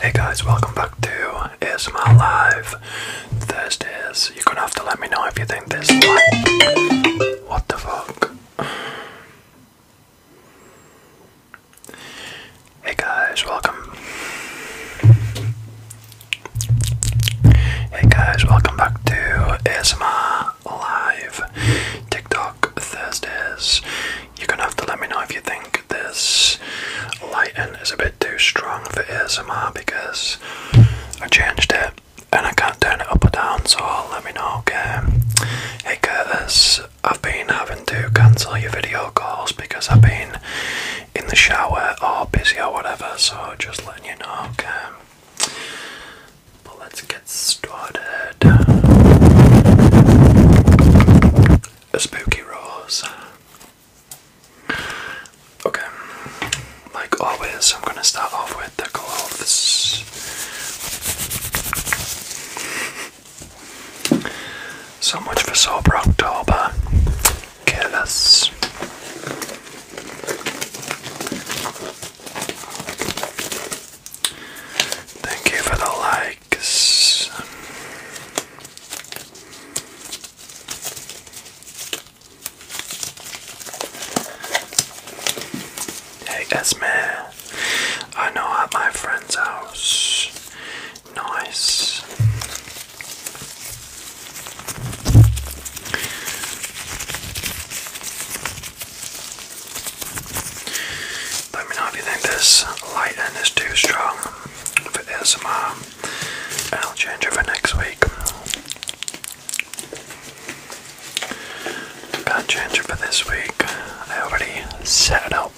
Hey guys, welcome back to Isma Live. This is, you're gonna have to let me know if you think this is what the fuck? Hey guys, welcome. Hey guys, welcome back to Isma Live. TikTok Dark Thursdays. You're gonna have to let me know if you think this lighting is a bit too strong for ASMR because I changed it and I can't turn it up or down, so let me know, okay? Hey Curtis, I've been having to cancel your video calls because I've been in the shower or busy or whatever, so just letting you know, okay? But let's get started. A spooky rose. Okay, like always, I'm gonna start off with the gloves. So much for sober October. Kill us. Thank you for the like. Hey Esme, I know at my friend's house. Nice. Let me know if you think this lighting is too strong for ASMR, and I'll change it for next week. can change for this week. I already set it up.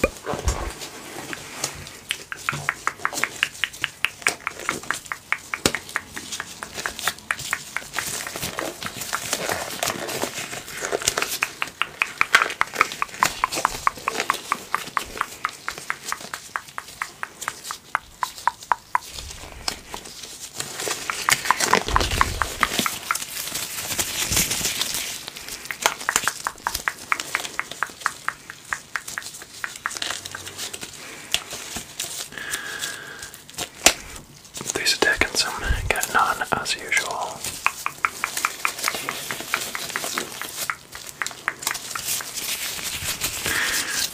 Lisa Dickinson getting on as usual.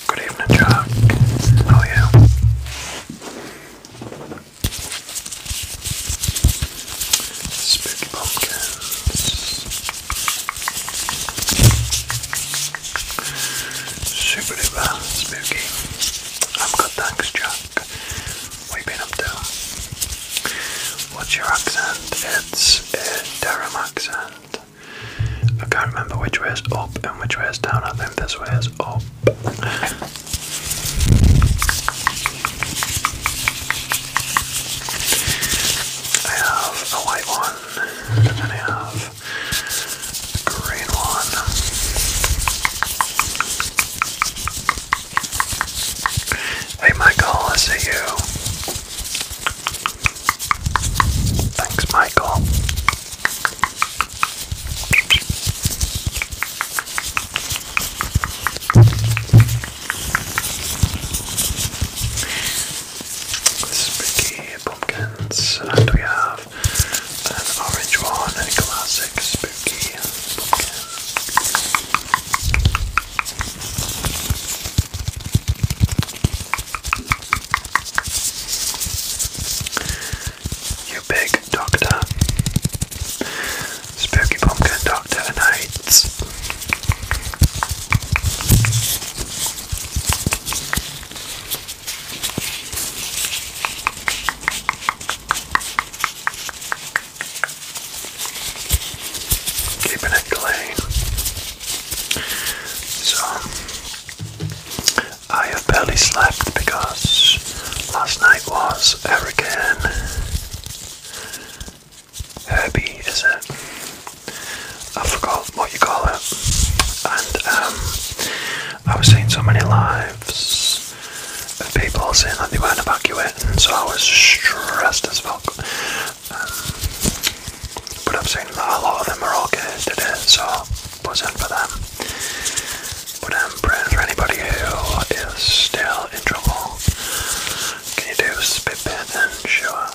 Good evening, Jack. How are Spooky pumpkins. Super duper spooky. I'm good, thanks, Jack. Iraq. We've been up to. What's your accent? It's a uh, Durham accent. I can't remember which way is up and which way is down. I think this way is up. I have a white one, and then I have a green one. Hey Michael, I see you. Thanks, Michael. Spooky pumpkins, and we have an orange one a classic spooky pumpkin. You big doctor. Spooky pumpkin doctor and AIDS. Keeping it clean. So, I have barely slept because last night was Hurricane Herbie, is it? I forgot what you call it. And um, I was seeing so many lives people saying that they weren't evacuating, so I was stressed as fuck. Um, but I've seen that a lot of them are okay today, so was buzzing for them. But I'm praying for anybody who is still in trouble. Can you do spit paint and sure?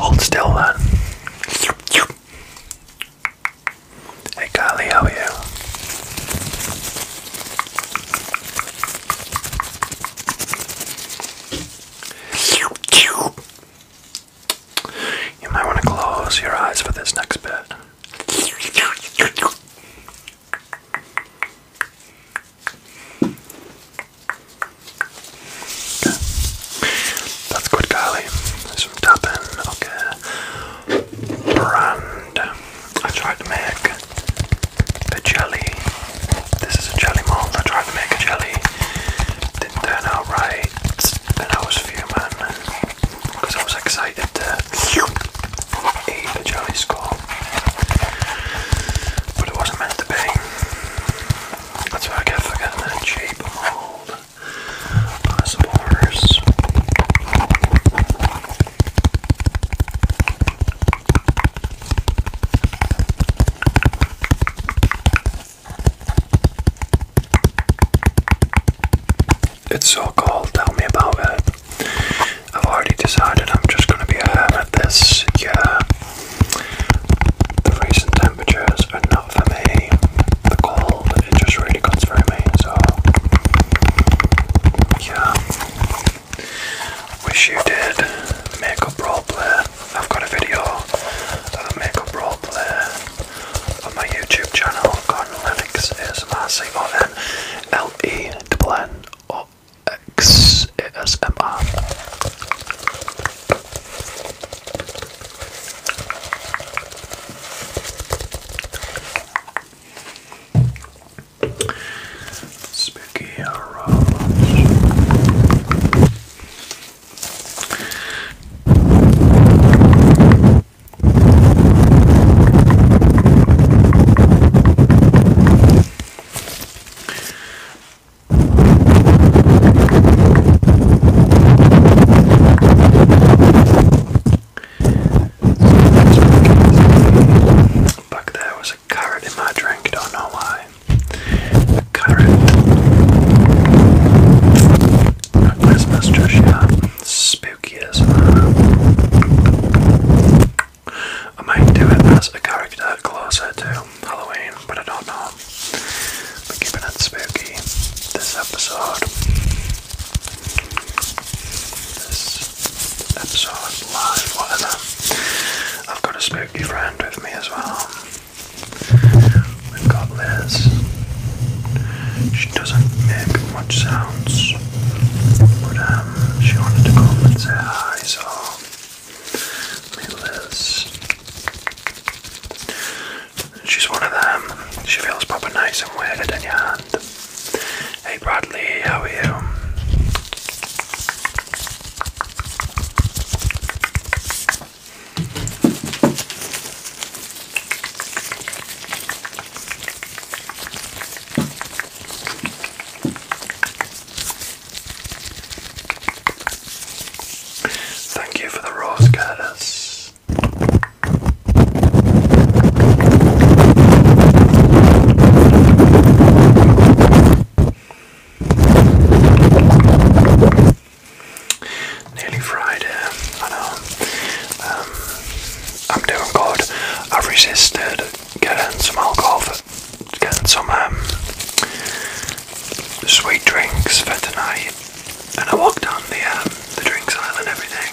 Hold still then. Hey Golly, how are you? You might want to close your eyes for this next bit. That's good, Carly. Some tapping, okay. Brand. I tried to make a jelly. This is a jelly mold. I tried to make a jelly. Didn't turn out right. Then I was fuming because I was excited to. Eat the jelly score, but it wasn't meant to be. That's why I kept forgetting that cheap mold uh, some It's so cold, tell me about it. I've already decided I'm just gonna be a ham at this Yeah, The recent temperatures are not for me. The cold, it just really cuts through me, so yeah. Wish you did makeup roleplay. I've got a video of a makeup roleplay on my YouTube channel, Gordon Lennox ASMR, C-O-N-L-E-N-N-O-X-A-S-M-R. Spooky Heroes. Back there was a carrot in my drink, don't know why. A carrot. Not Christmas just yet. Spooky as I might do it as a character closer to Halloween, but I don't know. We're keeping it spooky this episode. This episode live, whatever. I've got a spooky friend with me as well. We've got Liz. She doesn't make much sounds, but um, she wanted to come and say hi, so. Hey Liz. She's one of them. She feels proper nice and weird in your hand. Hey Bradley, how are you? Thank you for the rose, Curtis. Nearly fried, uh, I know. Um, I'm doing good. I've resisted getting some alcohol, getting some um, sweet drinks for tonight. And I walked down the um, the drinks aisle and everything,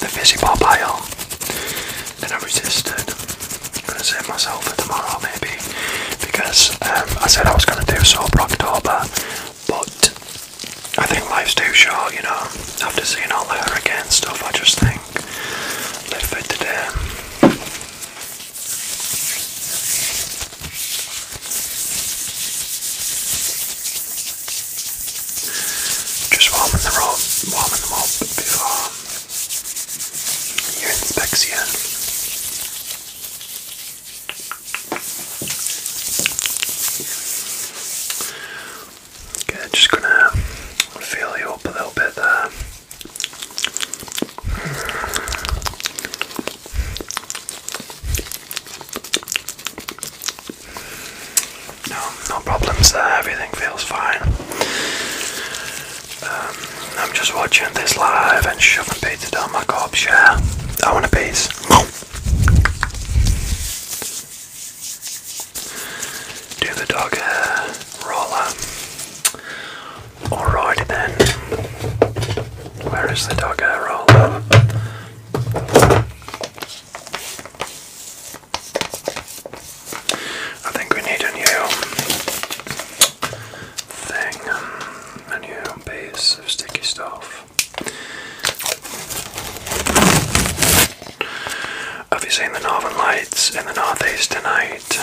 the fizzy pop aisle, and I resisted. I'm gonna save myself for tomorrow maybe, because um, I said I was gonna do soap October, but I think life's too short, you know. After seeing all the hurricane stuff, I just think let's for today. Just warming the rope, warming them up before your inspection. Okay, just gonna feel you up a little bit there. No, no problems there, everything feels fine. Um, I'm just watching this live and shoving pizza down my gob. yeah. I want a piece. Do the dog hair roller. Alrighty then. Where is the dog roller? I think we need a new thing, um, a new base of sticky stuff. Have you seen the northern lights in the northeast tonight?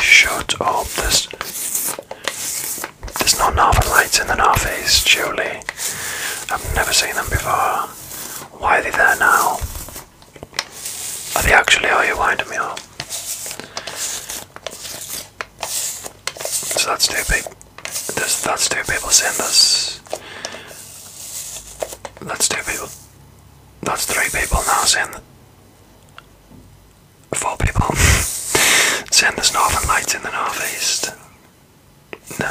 Shut up, this there's no northern lights in the northeast, Julie. I've never seen them before. Why are they there now? Are they actually? Are you winding me up? So that's two people. That's two people sending us. That's two people. That's three people now sending. Four people sending the northern lights in the northeast. No.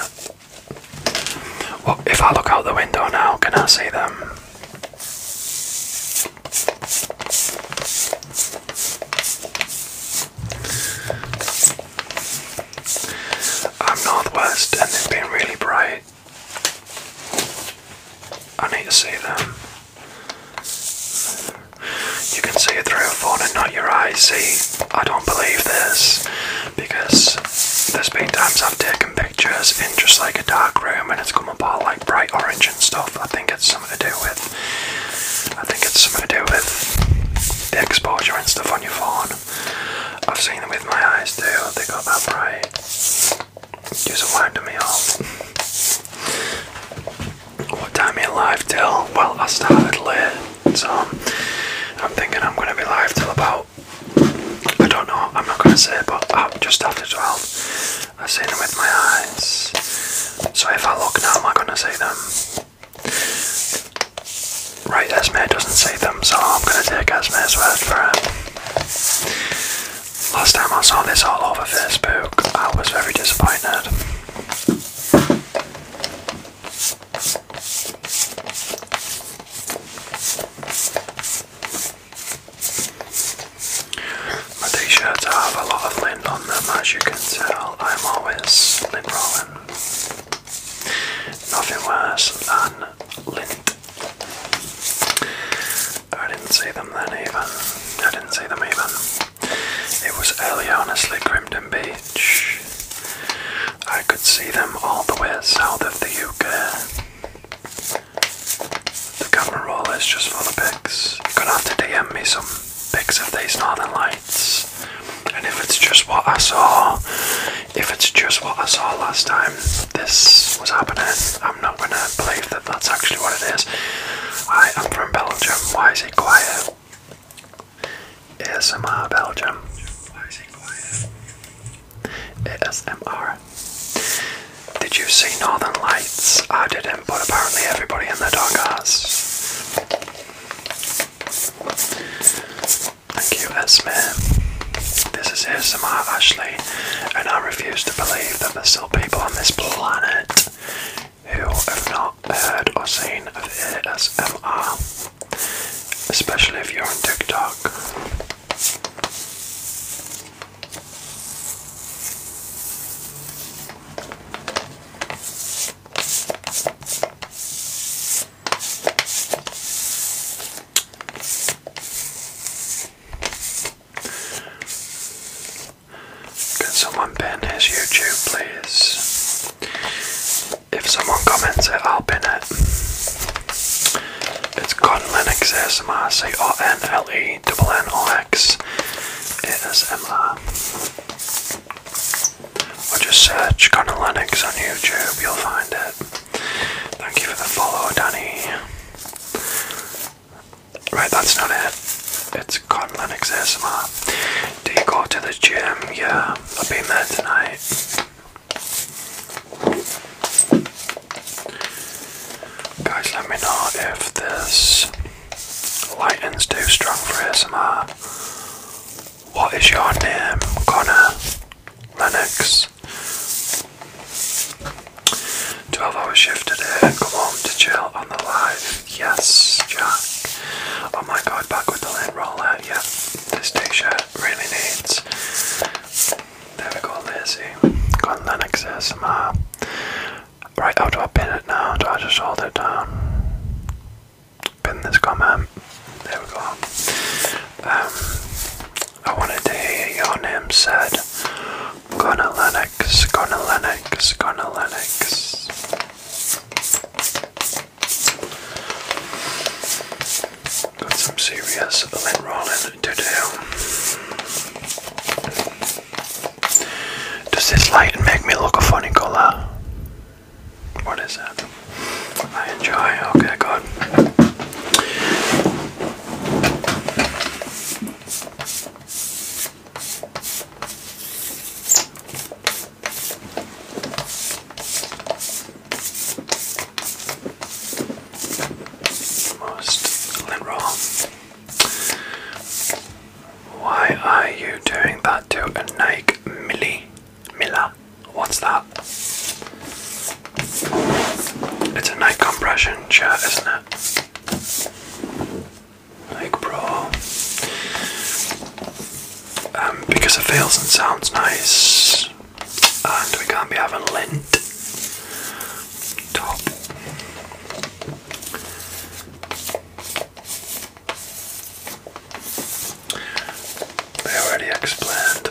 Well, if I look out the window now, can I see them? I'm northwest and they've been really bright. I need to see them. You can see it through a phone and not your eyes, see? I don't believe this because there's been times I've taken pictures in just like a dark room and it's come apart like bright orange and stuff. I think it's something to do with I think it's something to do with the exposure and stuff on your phone. I've seen them with my eyes too, they go that bright. Just winding me up. What time are you live till? Well I started late. So I'm thinking I'm going to be live till about, I don't know, I'm not going to say, but uh, just after 12. I've seen them with my eyes. So if I look now, am I going to see them? Right, Esme doesn't see them, so I'm going to take Esme's word for it. Last time I saw this all over Facebook, I was very disappointed. My t-shirts have a lot of lint on them as you can tell. I'm always lint rolling. Nothing worse than lint. I didn't see them then even. I didn't see them even. It was early on asleep Crimton Beach. I could see them all the way south of the Yukon. The camera roll is just full of pics. I'm gonna have to DM me some pics of these northern lights. And if it's just what I saw, if it's just what I saw last time this was happening, I'm not gonna believe that that's actually what it is. I am from Belgium. Why is it quiet? ASMR Belgium. ASMR. Did you see Northern Lights? I didn't, but apparently everybody in the dark has. Thank you, ASMR. This is ASMR Ashley, and I refuse to believe that there's still people on this planet who have not heard or seen of ASMR especially if you're on TikTok. Can someone pin his YouTube, please? If someone comments it, I'll pin it. It's Con Linux ASMR, C O N L E N N O X ASMR. Or just search Con Linux on YouTube, you'll find it. Thank you for the follow, Danny. Right, that's not it. It's Con Linux ASMR. Do you go to the gym? Yeah, I've been there tonight. Guys, let me know if this lightning's too strong for ASMR. What is your name, Connor? Lennox. 12 hour shift today and come home to chill on the live. Yes, Jack. Oh my god, back with the land roller, yeah. This t-shirt really needs. There we go, Lizzie. Got an XSMR. Right, how do I pin it now? Do I just hold it down? Pin this comment. There we go. Um, I wanted to hear your name said. Gonna Lennox, gonna Lennox, gonna Lennox. Got some serious lint to do. Does this light make me look a funny colour? What is that? I enjoy. Okay, good. Most literal. Why are you doing that to a Nike Milli Miller? What's that? It's a Nike compression shirt, isn't it? Nike Pro. Um, because it feels and sounds nice, and we can't be having lint. Top. They already explained.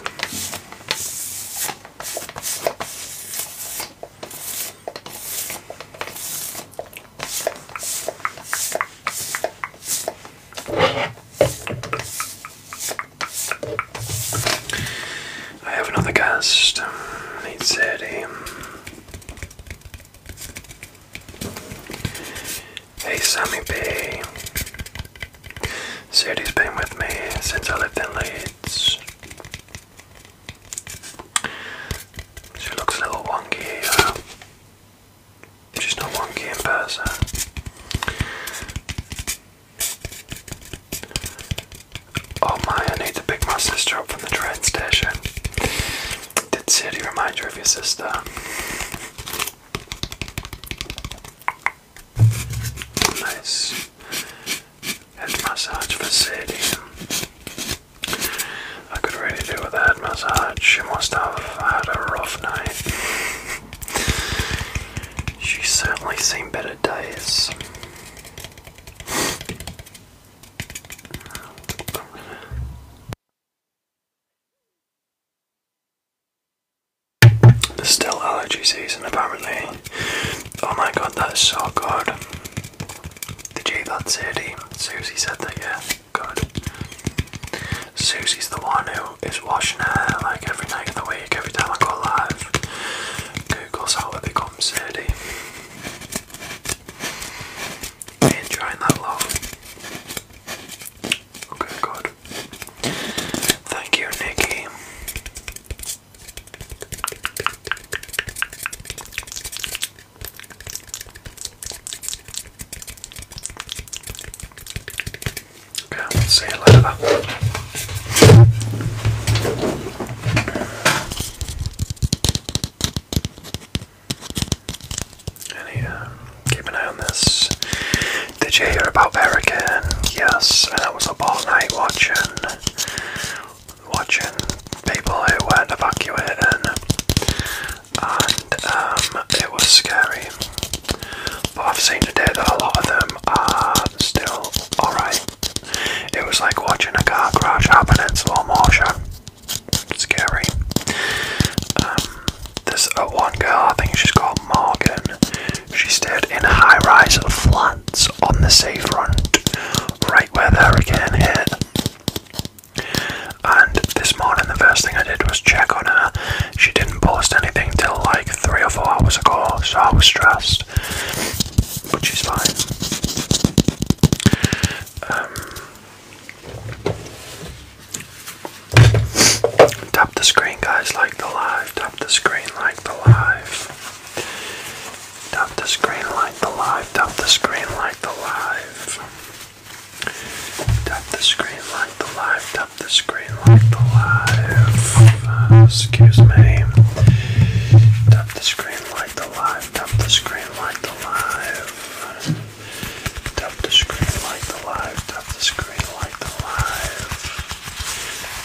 I have another guest. Needs 30. Hey Sammy B. Sadie's been with me since I lived in Leeds. She looks a little wonky. Uh, She's not one game person. Oh my, I need to pick my sister up from the train station. Did Sadie remind you of your sister? Nice head massage for Sadie. I could really do with a head massage. She must have had a rough night. She's certainly seen better days. There's still allergy season apparently. Oh my god, that is so good. Did you hear that, Sadie? Susie said that, yeah good. Susie's the one who is washing her hair like every night of the week, every time I go live. Google's how to become Sadie. enjoying that long? Okay, good. Thank you, Nikki. Okay. see you later. Any, um, keep an eye on this. Did you hear about Verican? Yes, and was up all night watching, watching people who weren't evacuating and um, it was scary. But I've seen today that a lot of them are still alright. It was like watching a car crash happen in slow motion. Scary. Um, there's uh, one girl, I think she's called Morgan. She stayed in high rise flats on the seafront, right where the hurricane hit. And this morning, the first thing I did was check on her she didn't post anything till like three or four hours ago, so I was stressed. But she's fine. Um, tap the screen, guys. Like the live. Tap the screen. Like the live. Tap the screen. Like the live. Tap the screen. Like the live. Tap the screen like the live, tap the screen like the live. Uh, excuse me. Tap the screen like the live, tap the screen like the live. Tap the screen like the live, tap the screen like the live.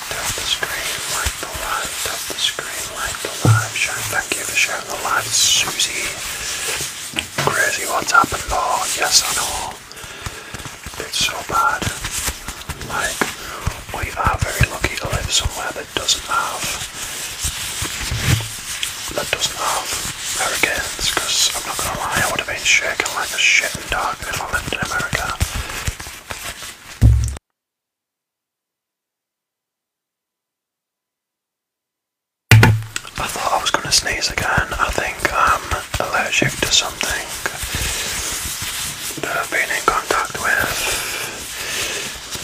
Tap the screen like the live, tap the screen like the live. Sharon, thank you for sharing the live. Susie. Crazy, what's happened? Oh, yes, I know. It's so bad. Like, we are very lucky to live somewhere that doesn't have that doesn't have hurricanes, because I'm not gonna lie, I would have been shaking like a shit in dog if I lived in America. I thought I was going to sneeze again. I think I'm um, allergic to something that I've been in contact with.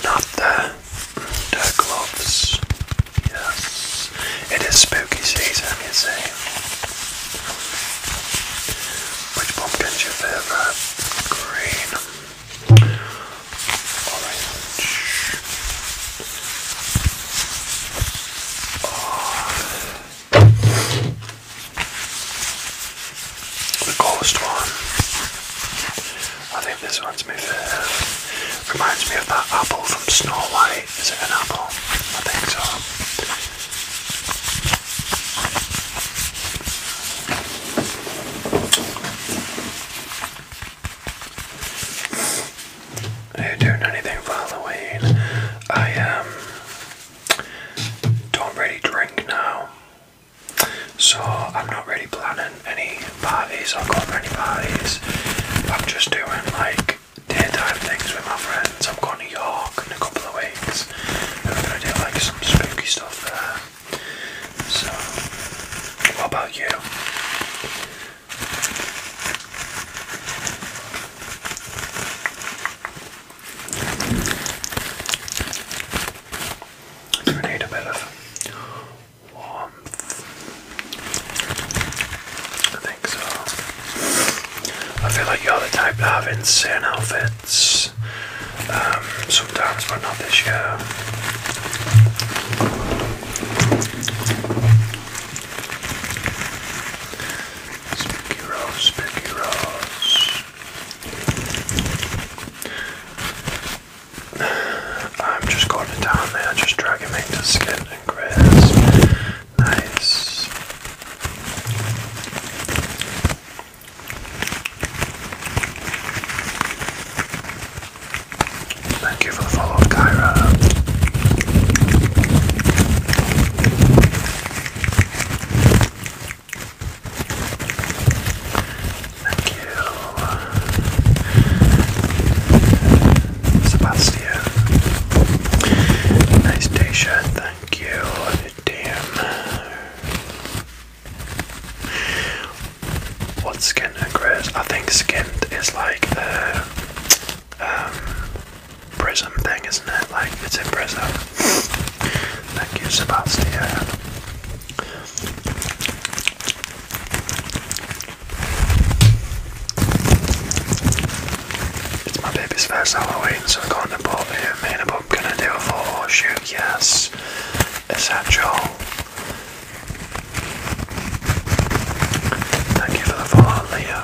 Not the, the gloves. Yes. It is spooky season, you see. Which pumpkin's your favourite? Green. Orange. Oh. The coolest one. I think this one's my favourite. Reminds me of that apple from Snow White. Is it an apple? I think so. I doing anything for Halloween. I um, don't really drink now, so I'm not really planning any parties or going to any parties. I'm just doing like daytime things with my friends. I'm going to York in a couple of weeks, and we're going to do like some spooky stuff there. So, what about you? You need a bit of warmth. I think so. I feel like you're the type to have insane outfits um, sometimes, but not this year. Spooky Rose, Spooky Rose. I'm just going down there, just try to skin and crisp. Nice. Thank you for the Kyra. Thank you, Sebastian. Nice t thank you, Tim. What's skinned I think skinned is like the um, prison thing, isn't it? Like, it's in prison. Thank you, Sebastian. It's my baby's first Halloween, so I'm going to bought here. Me and i gonna do a photo shoot, yes. Essential. Thank you for the follow, Leo.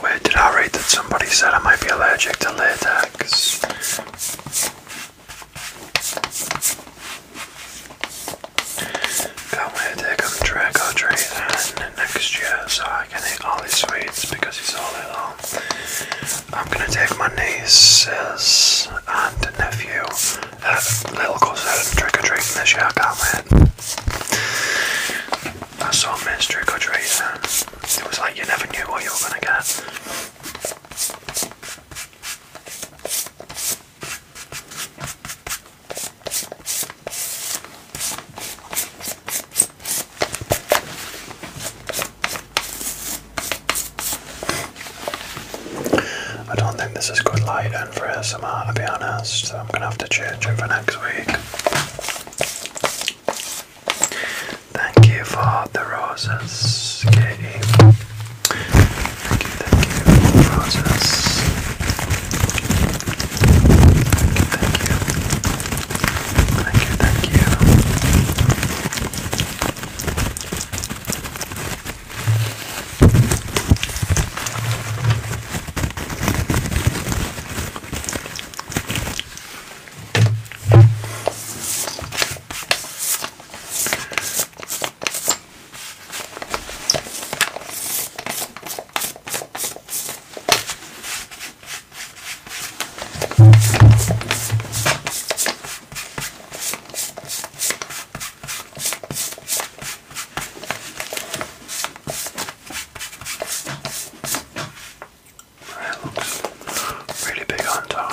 Where did I read that somebody said I might be allergic to latex? Can't wait to come track or treat next year so I can eat all his sweets because he's all little. I'm gonna take my nieces and nephew, uh, little cousin, trick or treating this year. I can't wait. I saw Miss Trick or Treating. It was like you never knew what you were gonna get. I don't think this is good lighting for ASMR to be honest, I'm gonna have to change it for next week. Thank you for the roses, Katie. Thank you, thank you, Moses. Thank you, thank you. Thank you, thank you. It looks really big on top.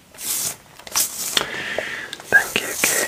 Thank you, Katie.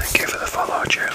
Thank you for the follow, Julian.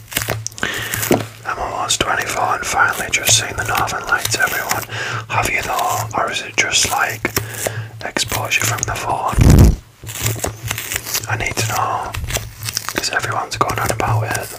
I'm almost 24 and finally just seeing the northern lights, everyone. Have you though, or is it just like exposure from the phone? I need to know because everyone's going on about it.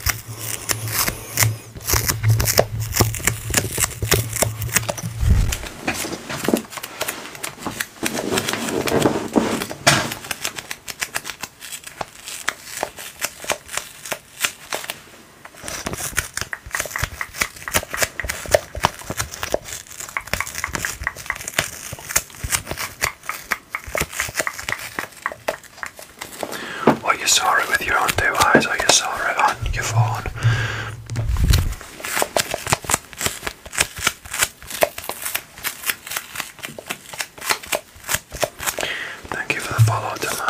Well, you saw it with your own two eyes, or you saw it on your phone. Thank you for the follow, tomorrow.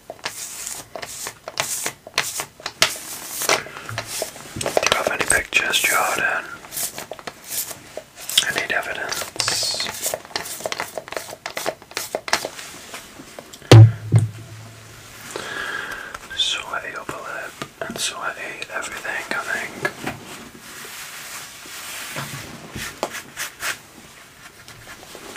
Do you have any pictures, Jordan? I need evidence. Sweaty upper lip and sweaty everything, I think.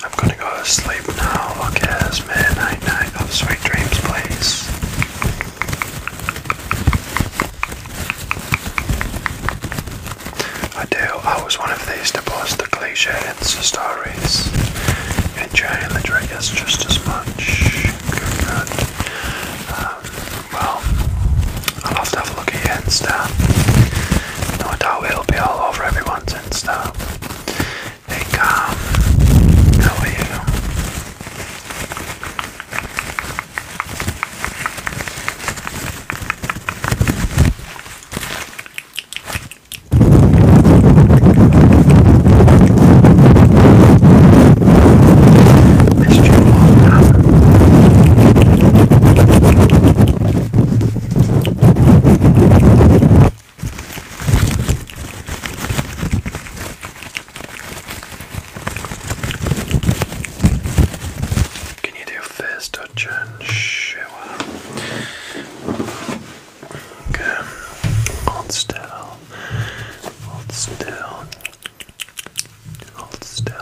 I'm gonna go to sleep now. Look sweet dreams, please. I I was one of these to post the cliche Insta stories. Enjoying the triggers just as much. Um, well, I'll have to have a look at your Insta. No doubt it'll be all over everyone's Insta. Hey how are you? Mr. Walker. Can you do fist touch and shower? Okay, hold Hold still. Hold still.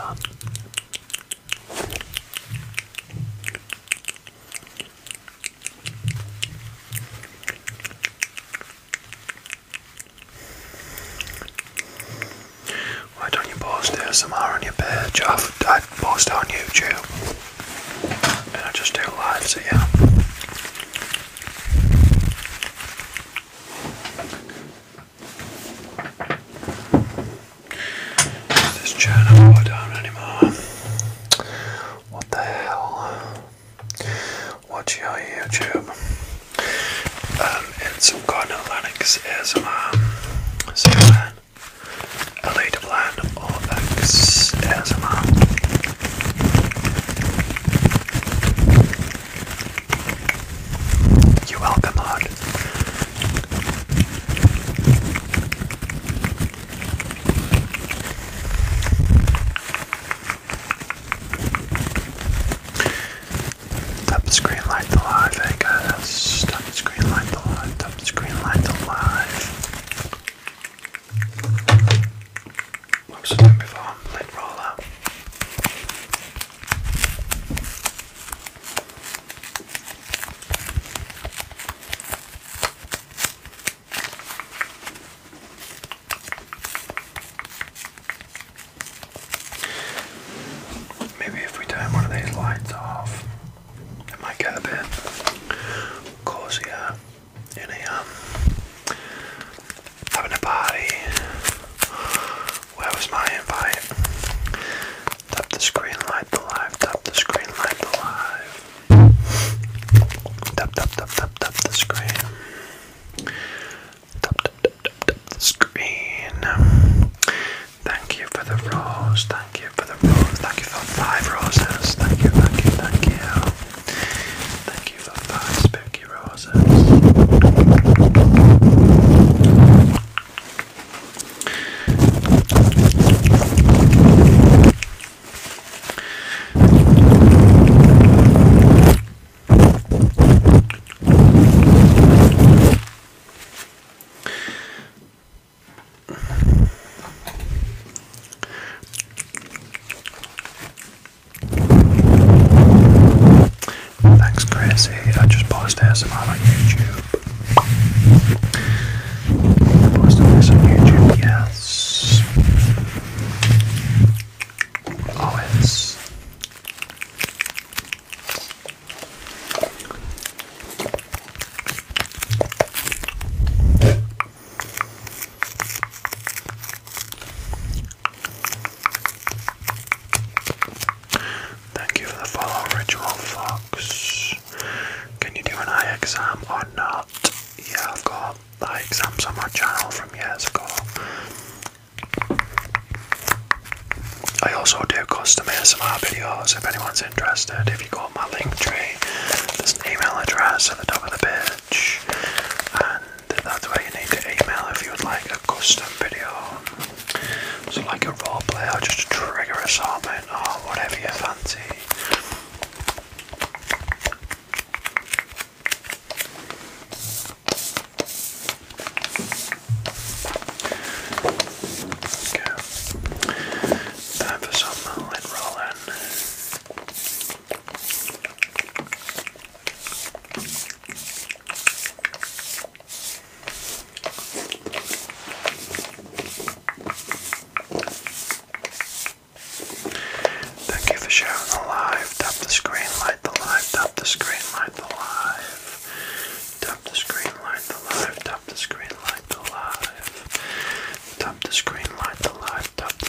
Why don't you post there somewhere on your page? i post on YouTube and I just do lives here. This journal I don't anymore. What the hell? Watch your YouTube. Um, in some kind of Linux ASMR. So then, Elite Blend or X ASMR. You're welcome, Hod. Top screen light the live, I guess. Top screen light the live, top screen light the live. What's it done before? Maybe if we turn one of these lights off, it might get a bit cozier in here. Um, having a party. Where was my invite? Tap the screen, light the live, tap the screen, light the live. Tap, tap, tap, tap, tap the screen. Tap, tap, tap, tap, tap the screen. Thank you for the rose, thank you for the rose, thank you for five roses, thank you, thank you, thank you. Thank you for five spooky roses. Thanks, Gracie. I just posted ASMR on YouTube. posted this on YouTube, yes. Always. Thank you for the follow, Ritual Fox. Can you do an eye exam or not? Yeah, I've got eye exams on my channel from years ago. I also do custom ASMR videos if anyone's interested. If you go on my link tree, there's an email address at the top of the page, that's why you need to email if you would like a custom video. So like a roleplay or just a trigger assortment or whatever you fancy. Okay. Time for some lid rolling. Thank you for sharing the light Tap the screen, light the live. Tap the screen, light the live. Tap the screen, light the live. Tap the screen, light the live. Tap the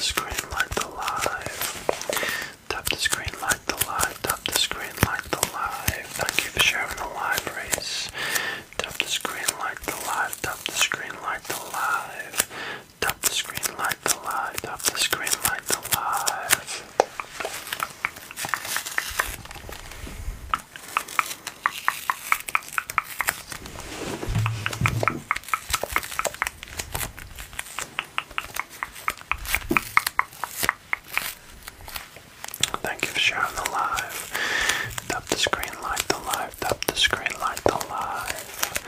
screen, light the live. Tap the screen, like the live. Tap the screen, like the live. Thank you for sharing the live, Race. Tap the screen, like the live. Tap the screen, like the live. Tap the screen, like the live. Tap the screen, like the live. Thank you for sharing the live. Tap the screen, like the live. Tap the screen, like the live.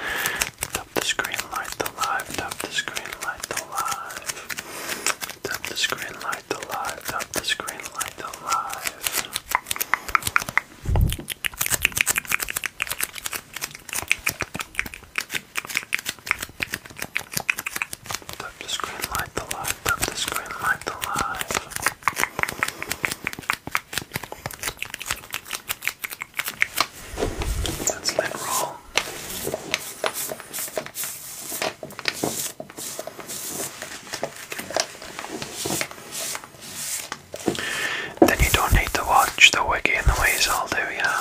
Tap the screen, like the live. Tap the screen, like the live. Tap the screen, like the live. Tap the screen, like the live. Tap the screen, light the light, tap the screen, light the light. That's that Then you don't need to watch the wiki and the ways I'll do ya?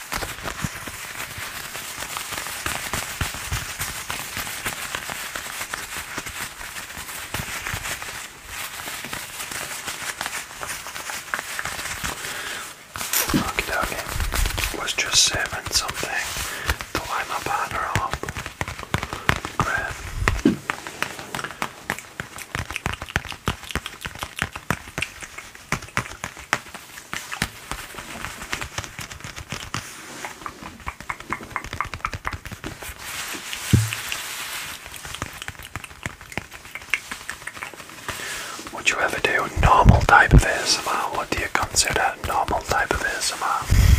Okay, okay. Was just serving something to light my partner up. Great. Would you ever do normal type of ASMR? What do you consider normal type of ASMR?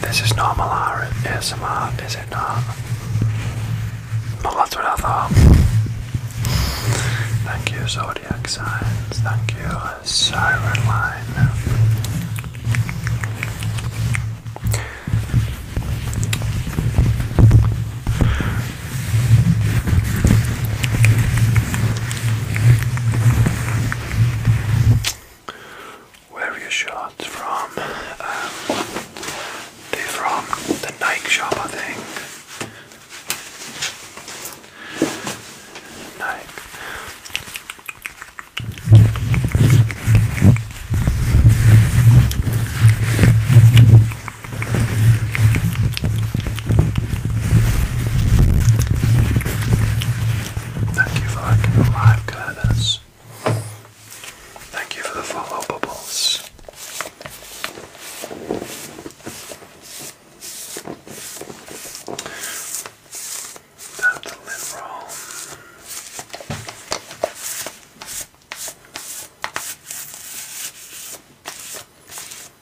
This is not Malara ASMR, its it not? But that's what I thought. Thank you, Zodiac Signs. Thank you, Siren Line. Where are your shots from? Um, they from the Nike shop, I think. Nike. Thank you for liking the live Thank you for the follow bubbles. Tap the lid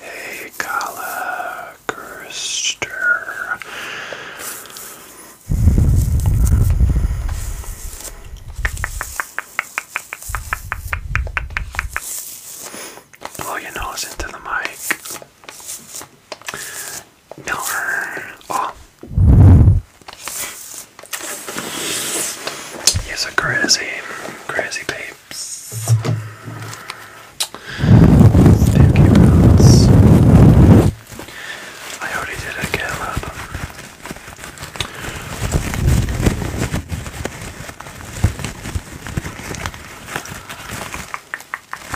Hey, Kala Blow oh, your nose into the mic. No. Oh. He's a crazy, crazy babes. Spooky Rose. I already did a Caleb.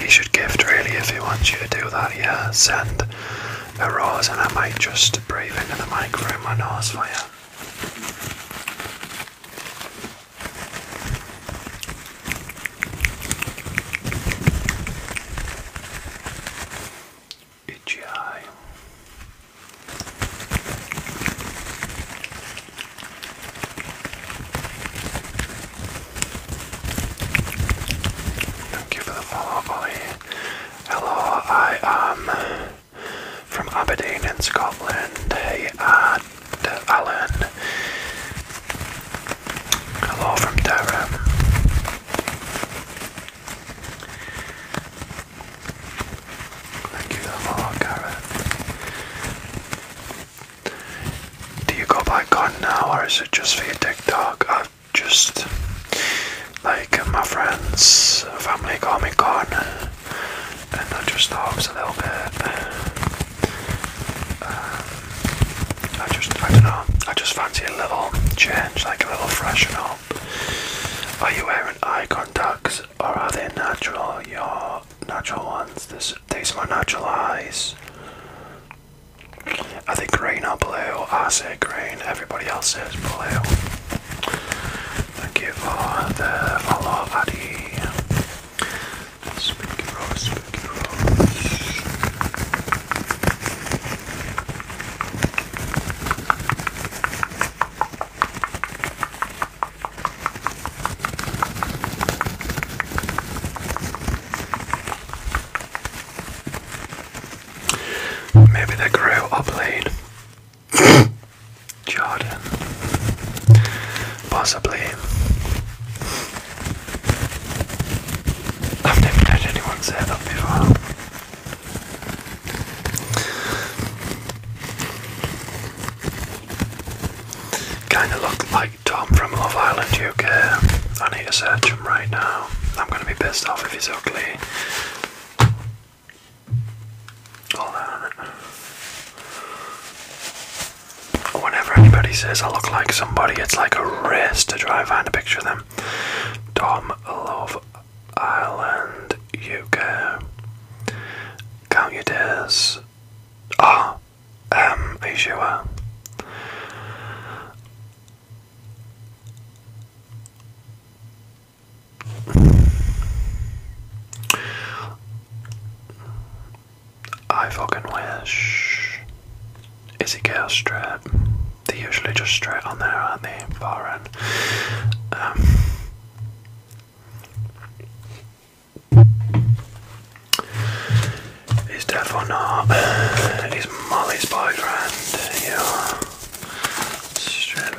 He should gift really if he wants you to do that, yeah. Send a rose and I might just breathe into the microphone my nose for you. Itchy Thank you for the follow, Polly. Hello, I am from Aberdeen in Scotland. Hey, Ad, Alan. Hello from Durham. Thank you for the follow, Garrett. Do you go by gun now or is it just for your TikTok? I've uh, just like my friends, family call me Con, and I just helps a little bit. Uh, I just, I don't know, I just fancy a little change, like a little freshen up. Are you wearing eye contacts or are they natural? Your natural ones. This these are my natural eyes. I think green or blue? I say green, everybody else says blue. Thank you for the follow, it raw. Speak it raw. Maybe they grew up late. Jordan. Possibly. I've never heard anyone say that before. Kind of look like Tom from Love Island UK. I need to search him right now. I'm gonna be pissed off if he's ugly. Hold on. Whenever anybody says I look like somebody, it's like a race to try and find a picture of them. Tom Love Island UK. Count your days. Ah, um, are you sure? I fucking wish. Is it girl straight? they usually just straight on there, aren't they? Foreign. Um, deaf or not. It's Molly's boyfriend. Yeah. Straight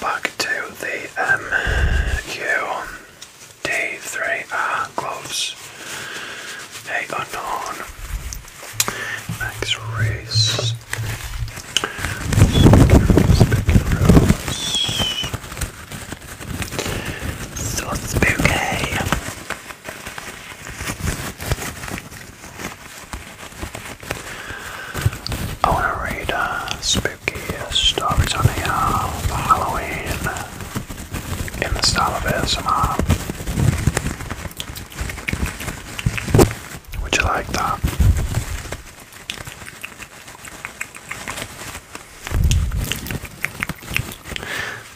Back to the MQD3R um, ah, gloves. Eight unknown. Next race. Sauce bouquet. I want to read uh, spooky stories on uh, Halloween in the style of ASMR. Would you like that?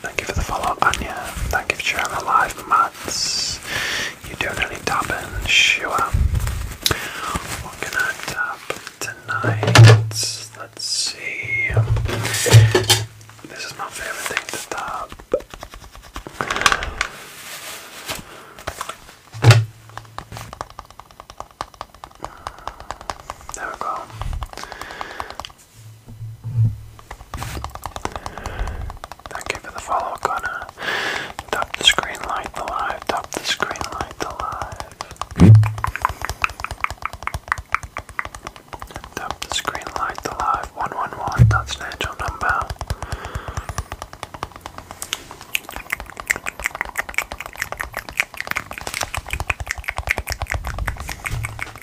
Thank you for the follow, up, Anya. Thank you for sharing the live, Mats. You don't only tap in, sure. What can I tap tonight? Let's see. This is my favorite thing to tap. There we go. Thank you for the follow, Connor. Tap the screen, light the live. Tap the screen, light the live. Tap the screen, light the live. 111, that's an angel number.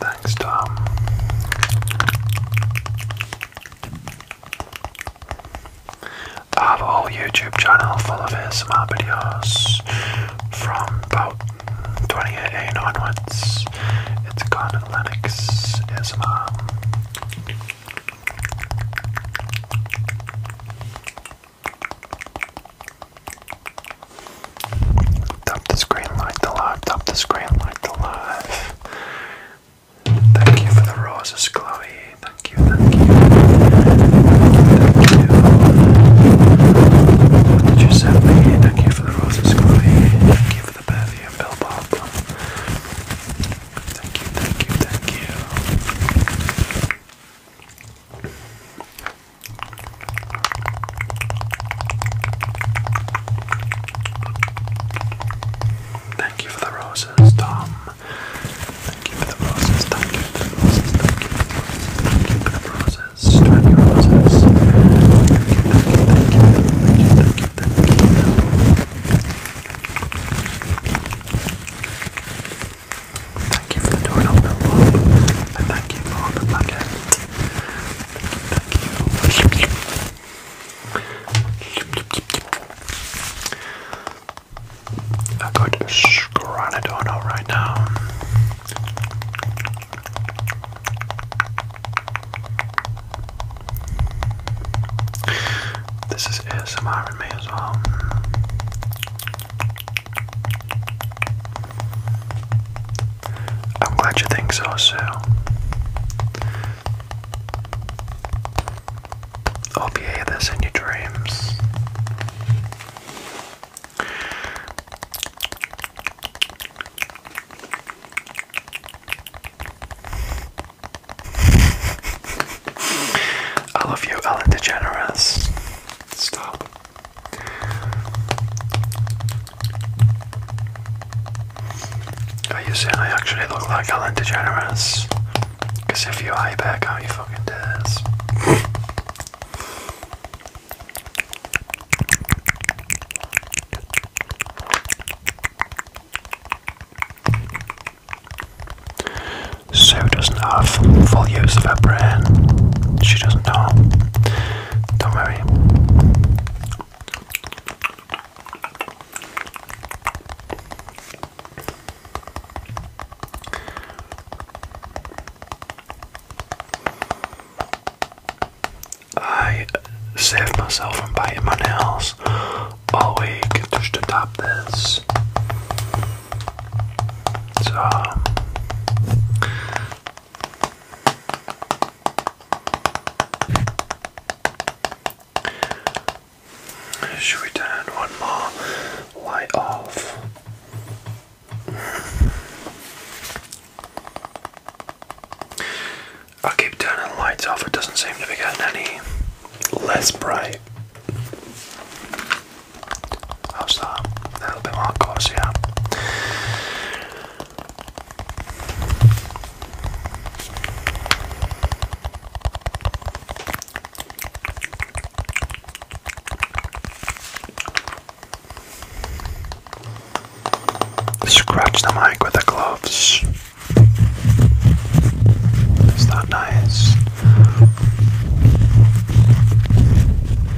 Thanks, Tom. I have a whole YouTube channel full of ASMR videos from about 2018 onwards. It's called Linux ASMR. Tap the screen, like the live. Tap the screen, like the live. Thank you for the roses, Chloe. Thank you, thank you. Thank you. did you send me? Thank you for the roses, Chloe. Thank you for the bevy Bill Bob. Thank you, thank you, thank you. Thank you for the roses, Tom. Thank you for the roses. Thank you for the roses. Thank you for the roses. Thank you for the roses. Thank you, thank you, thank you, thank you, thank you, thank you. Thank you for the love. And thank you for the packet. Thank you, thank you. I got Scranadon right now. This is ASMR in me as well. I'm glad you think so, Sue. Hope you hear this in your dreams. I love you, Ellen DeGeneres. Stop. Are you saying I actually look like Alan DeGeneres? Because if you eye back how you fucking dares. So doesn't have full use of her brain. She doesn't know. Don't worry. I saved myself from biting my nails all week just to tap this. So should we turn one more light off? I keep turning lights off, it doesn't seem to be getting any less bright. How's that? A little bit more coarse, yeah. Scratch the mic with the gloves. Is that nice?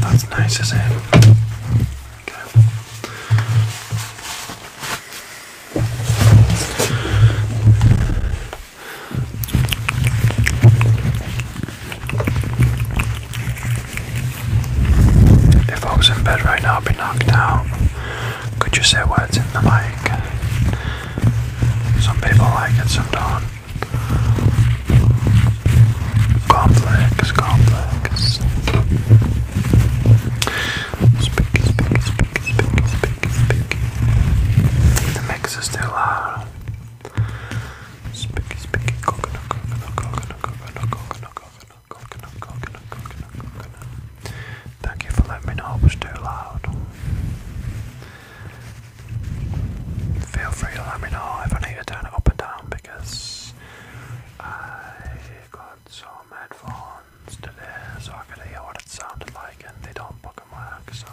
That's nice, isn't it? If I was in bed right now, be knocked out. Could you say words in the mic? Some people like it, some don't. Complex, complex. Speaky, speaky, speaky, speaky, speaky, speaky. The mix is too loud. Speaky, speaky, coconut, coconut, coconut, coconut, coconut, coconut, coconut, coconut, coconut. Thank you for letting me know it was too loud. Feel free to let me know if I need to turn it up and down because I got some headphones today so I could hear what it sounded like and they don't fucking work so.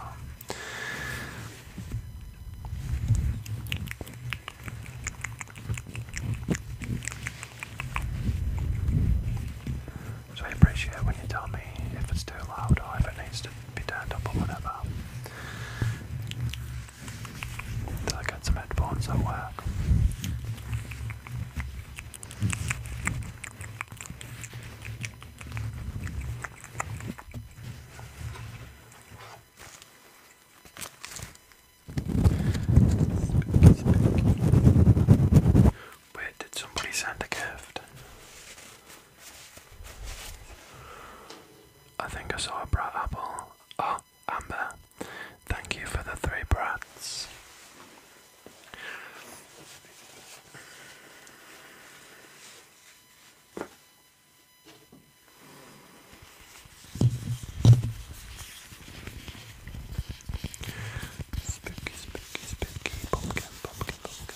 So I appreciate when you tell me if it's too loud or if it needs to be turned up or whatever. Until I get some headphones that work. Wait, did somebody send a gift? I think I saw a bright apple. Oh, Amber, thank you for the three brats. Spooky, spooky, spooky, pumpkin, pumpkin, pumpkin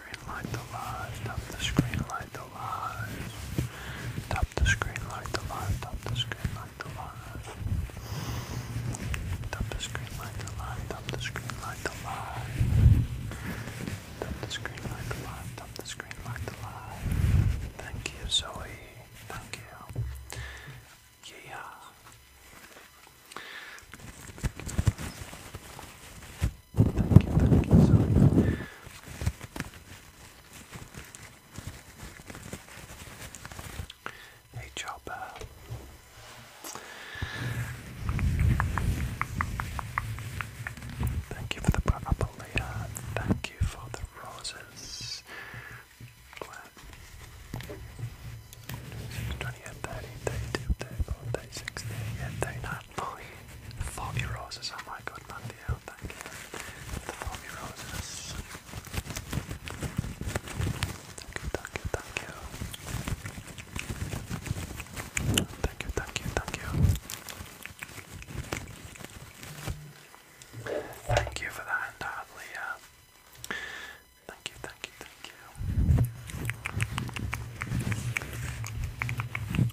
screen, like the live. Top the screen, like the live. Top the screen, like the live. Top the screen, like the live. Top the screen, like the live. Top the screen, like the live. Top the screen, like the live. Top the screen, like the live. Thank you, Zoe. Thank you. Yeah. Thank you, thank you, sorry. Hey, Chopper. Thank you for the apple Thank you for the roses. 28, Napoli. The Foggy Roses, oh my god, Matteo, oh, thank you. The Foggy Roses. Thank you, thank you, thank you. Thank you, thank you, thank you. Thank you for that, and Leah. Thank you, thank you, thank you.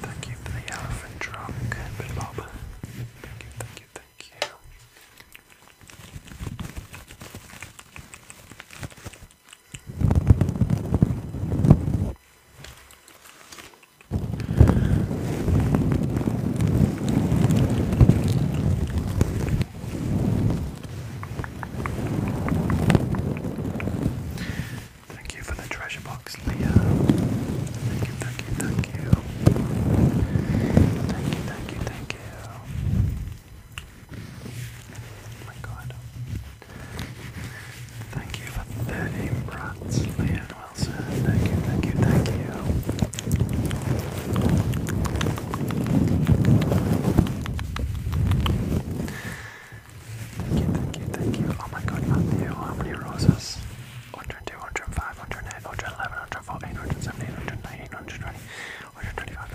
Thank you for the elephant trunk, Bit Bob. Thank you, thank you, thank you. Thank you for the treasure box, Leo. Thank you, thank you, thank you. Thank you, thank you, thank you. Oh my god. Thank you for 30 brats, Leah Wilson. Thank you, thank you, thank you. Thank you, thank you, thank you. Oh my god, Matthew, how many roses? 102, 105, 108, 111, 114, 117, 119, 120, 125,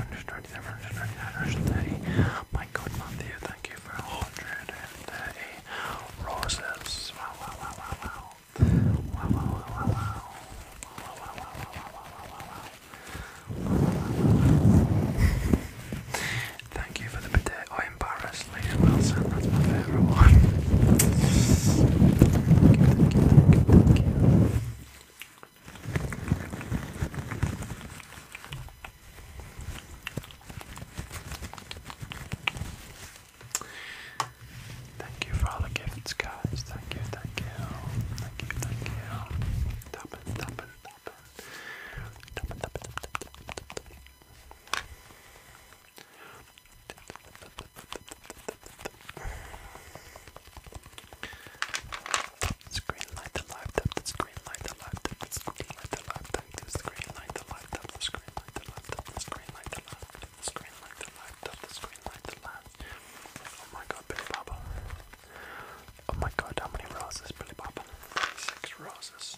127, 129, 130. My god, Matthew, thank you for 130 roses. Wow, wow, wow, wow, wow. Wow, wow, wow, wow, wow. Wow, wow, wow, wow, wow, wow, wow, wow, wow. Thank you for the bidet. I am embarrassed Liam Wilson, that's my favourite one. Thank you, for all the gifts, guys. Thank you, thank you. Thank you, thank you. Tap it, tap it, tap let light the laptop, let's light the laptop, let's light the laptop, let's light the laptop, let's light the laptop, let's light the laptop, let's light the laptop, let's light the laptop. Oh my god, Billy Baba. Oh my god, how many roses, Billy Baba? 36 roses.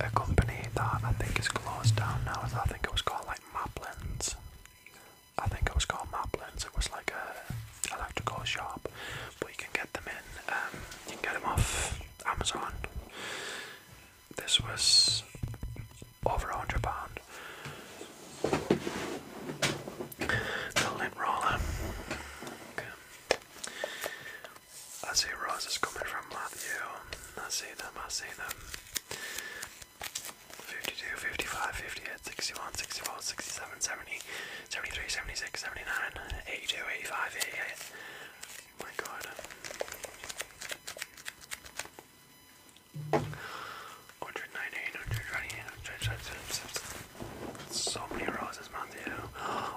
a company that I think is closed down now. I think it was called like Maplin's. I think it was called Maplin's. It was like a electrical shop, but you can get them in. Um, you can get them off Amazon. This was over a hundred pound. The lint roller. I see roses coming from Matthew. I see them, I see them. 52, 55, 58, 61, 64, 67, 70, 73, 76, 79, 82, 85, 88. Oh my god. Hundred nineteen, hundred twenty, hundred So many roses, Matthew.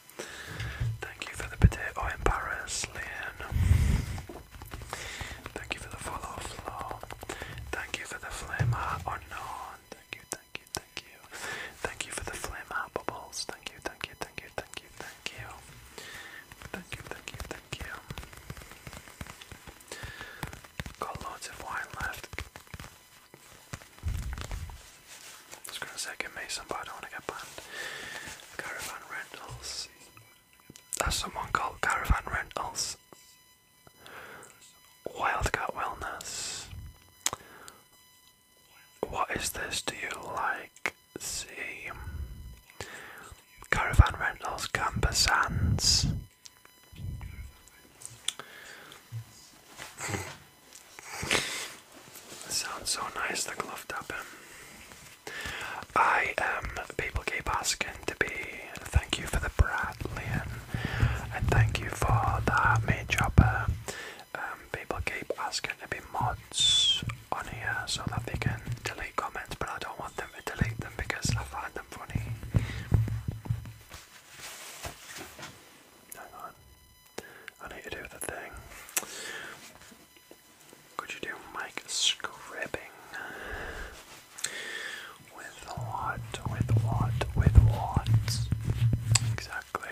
Thank you for the potato oh, in Paris, Liam. Thank you for the follow flow. Thank you for the flame heart oh, unknown. Thank you, thank you, thank you. Thank you for the flame heart bubbles. Thank you, thank you, thank you, thank you, thank you. Thank you, thank you, thank you. Got loads of wine left. I gonna say I get Mason, but I don't want to get banned. Caravan Rentals. That's someone called Caravan Rentals. Wildcat Wellness. What is this? Do you like? See. Caravan Rentals, Camper Sands. It sounds so nice, the glove tapping. I am people keep asking to be. Thank you for the Bradley, and thank you for the main chopper. Um, people keep asking to be mods on here so that they can delete comments, but I don't want them to delete them because I find them funny. Hang on, I need to do the thing. Could you do mic scribbing? With what? With what? With what? Exactly.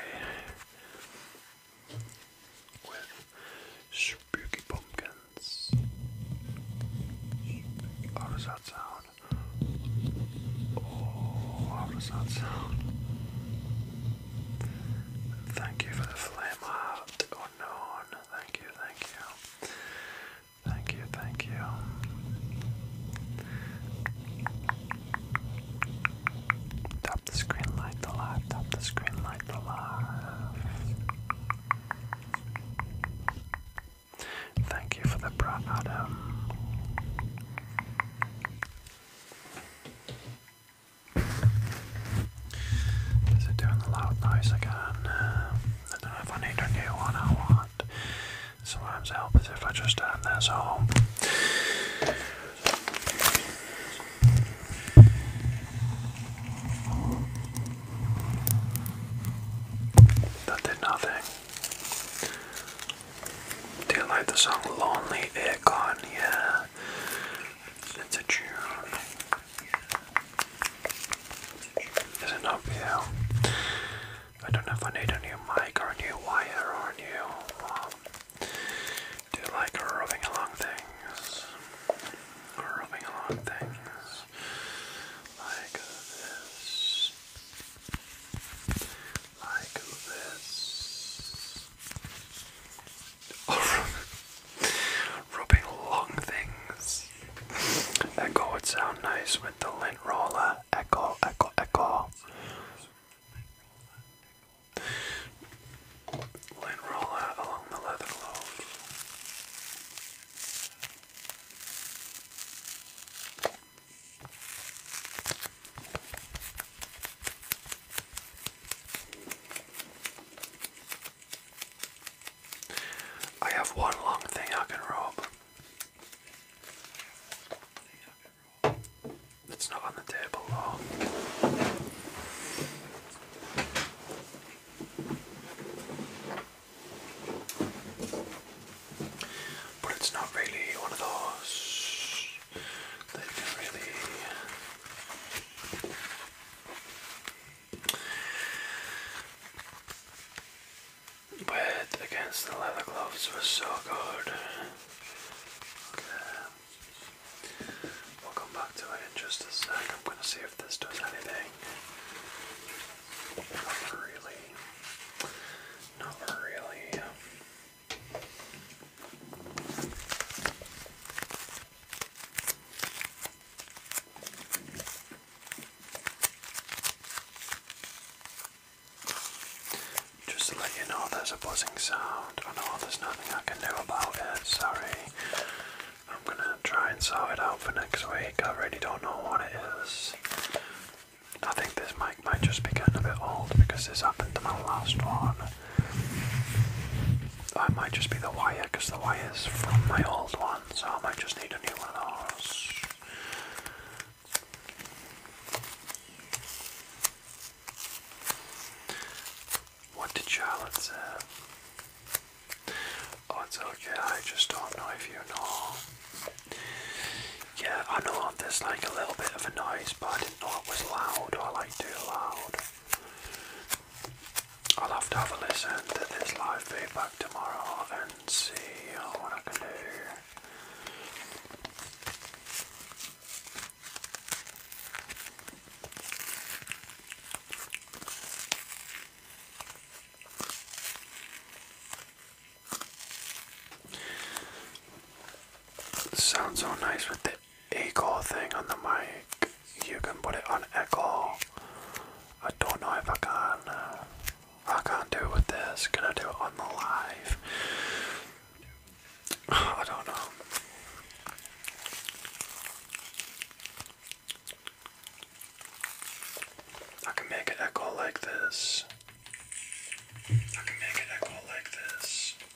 With spooky pumpkins. How does that sound? Oh, how does that sound? Thank you for the flame unknown. Oh, thank you, thank you. Thank you, thank you. Top the screen, light the live, top the screen, light the live. Thank you for the bra, Adam. Is it doing the loud noise again? I don't know if I need a new one or what. Sometimes it helps if I just turn this on. That did nothing. Do you like the song Lonely on Yeah. It's a tune. Is not beautiful? I don't know if I need a new mic or a new wire or a new. Um, do like rubbing along things? Rubbing along things like this, like this. rubbing long things. Echo would sound nice with the lint roller. Echo, echo, echo. Lint roller along the leather lobe. I have one long thing I can rob. It's not on the table though. But it's not really one of those that can really Wet against the leather gloves was so good. Okay. We'll come back to it in just a sec. I'm gonna see if this does anything. Not really. Not really. Just to let you know, there's a buzzing sound. I know there's nothing I can do about it, sorry. I'm gonna try and sort it out for next week. I really don't know what it is. I think this mic might just be getting a bit old because this happened to my last one. I might just be the wire because the wire is from my old one, so I might just need a new one of those. What did Charlotte say? Oh, it's okay, I just don't know if you know. Yeah, I know there's like a little bit of a noise, but I didn't know it was loud or like do loud. I'll have to have a listen to this live feedback tomorrow and see what I can do. sounds so nice with the Echo thing on the mic. You can put it on echo. I don't know if I can. Uh, I can't do it with this. Can I do it on the live? I don't know. I can make it echo like this. I can make it echo like this.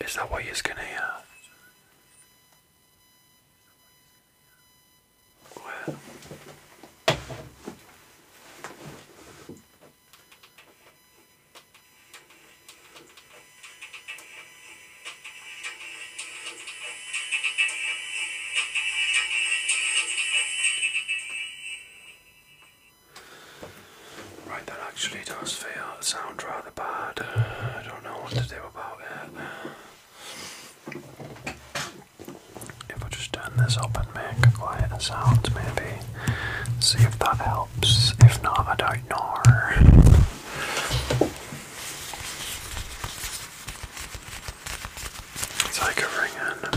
Is that what you're gonna hear? Uh, well. Right, that actually does feel sound rather bad. I don't know what to do about it. If I just turn this up and make a quieter sound, maybe see if that helps. If not, I don't know. It's like a ring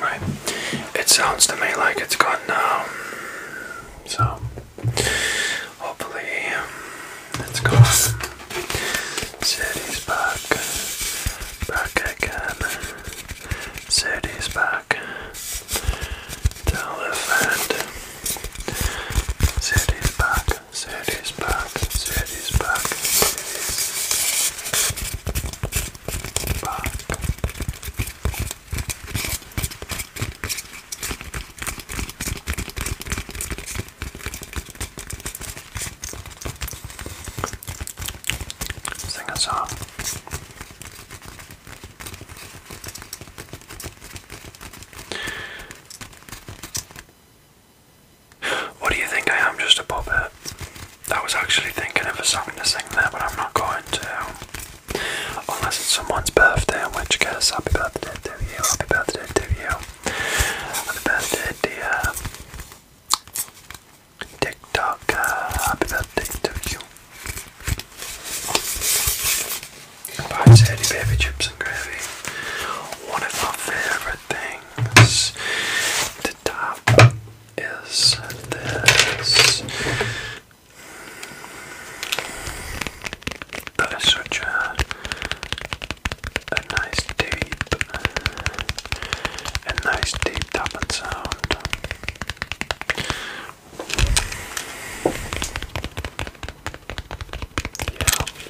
Right. It sounds to me like it's gone now. So, hopefully, um, it's gone. City's back. Back again. City's back. Tell City's back. Sadie's back, Sadie's back, back. Sing a song. What do you think I am, just a puppet? I was actually thinking of a song to sing there, but I'm not going to. Unless it's someone's birthday, in which case, happy birthday to you, happy birthday to you. Happy birthday, dear TikTok, uh, happy birthday to you. By Teddy Baby Chips and Gravy. One of my favourite things this. The top is this. That is such a, nice deep, a nice deep tapping sound. Yeah.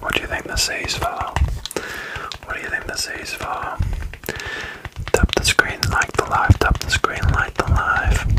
What do you think the seas for? What do you think the seas for? Tap the screen, like the live, tap the screen, like the live.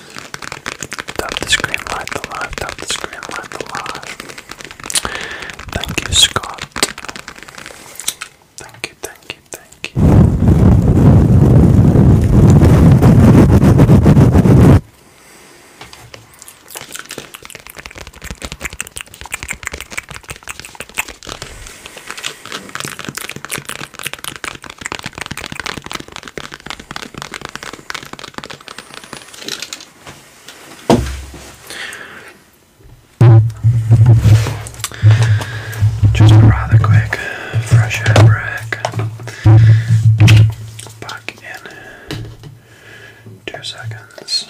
Tap the screen, light the live. Tap the screen, light the live. Thank you, Scott. Thank you, thank you, thank you. Just a rather quick fresh air break. Back in two seconds.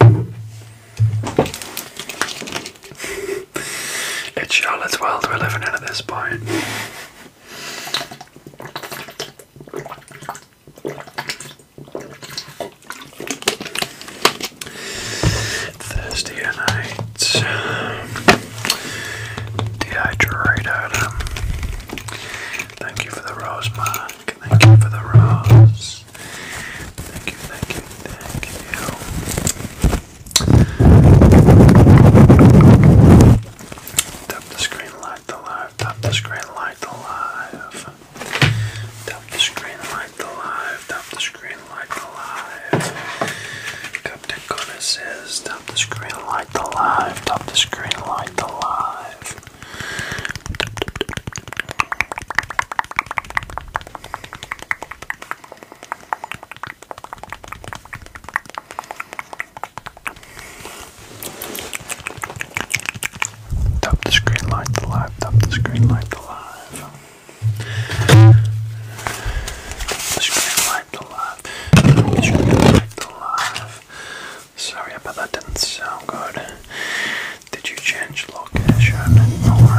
It's Charlotte's world we're living in at this point. Thursday night, dehydrated. Thank you for the rose, Mark. Thank you for the rose. Thank you, thank you, thank you. Tap the screen, light the live. Tap the screen, light the live. Tap the screen, light the live. Tap the screen, light the live. Captain Connor says, tap the screen, light the live. Tap the screen, light the live. Tap the screen light to live, tap the screen light to live. The screen light to live, the screen light to live. Sorry about that, didn't sound good. Did you change location or?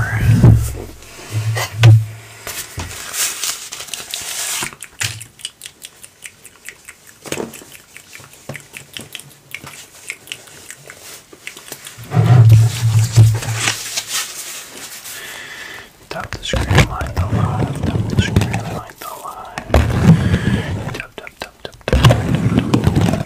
the screen light the light, tap the screen light the light. Tap, tap, tap, tap, tap.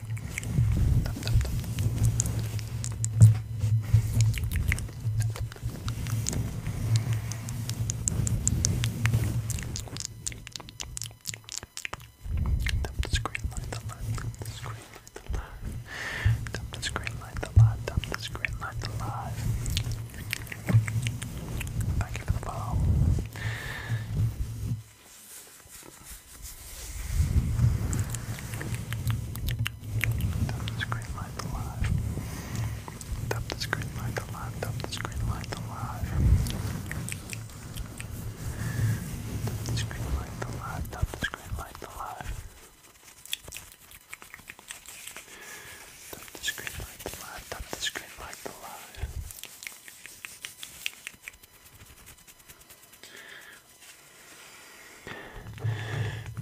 Dump the screen, light the light, dump the screen, light the light. Dump the screen, light the light, dump the screen, light the light. Thank you for the follow. Tap the screen light alive. Tap the screen light alive. Tap the screen light alive. Tap the screen light alive. Tap the screen light alive. Tap the screen light alive. Tap the screen light alive. Tap the screen light alive.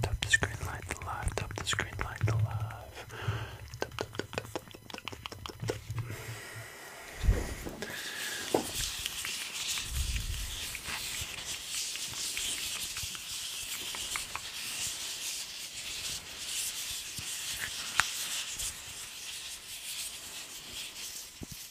Tap the screen light the live, tap the screen light the live.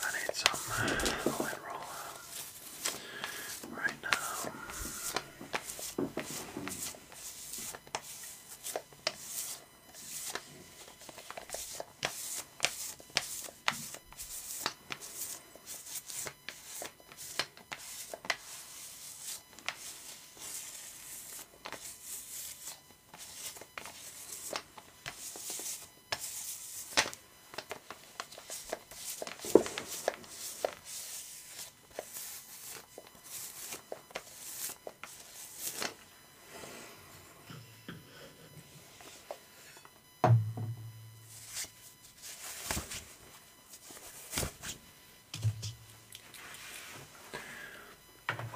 I need some oil uh, roller right now.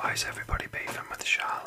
Why is everybody bathing with Charlotte?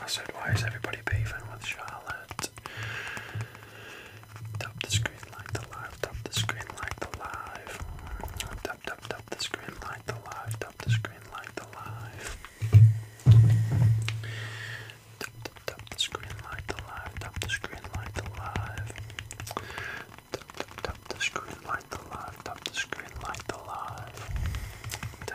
I said, why is everybody beefing with Charlotte? Tap the screen, like the live, tap the screen, like the live. Tap, tap, tap the screen, like the live, tap the screen, like the live. Tap, tap, tap the screen, like the live, tap the screen, like the live. Tap, tap, tap the screen, like the live, tap the screen, like the live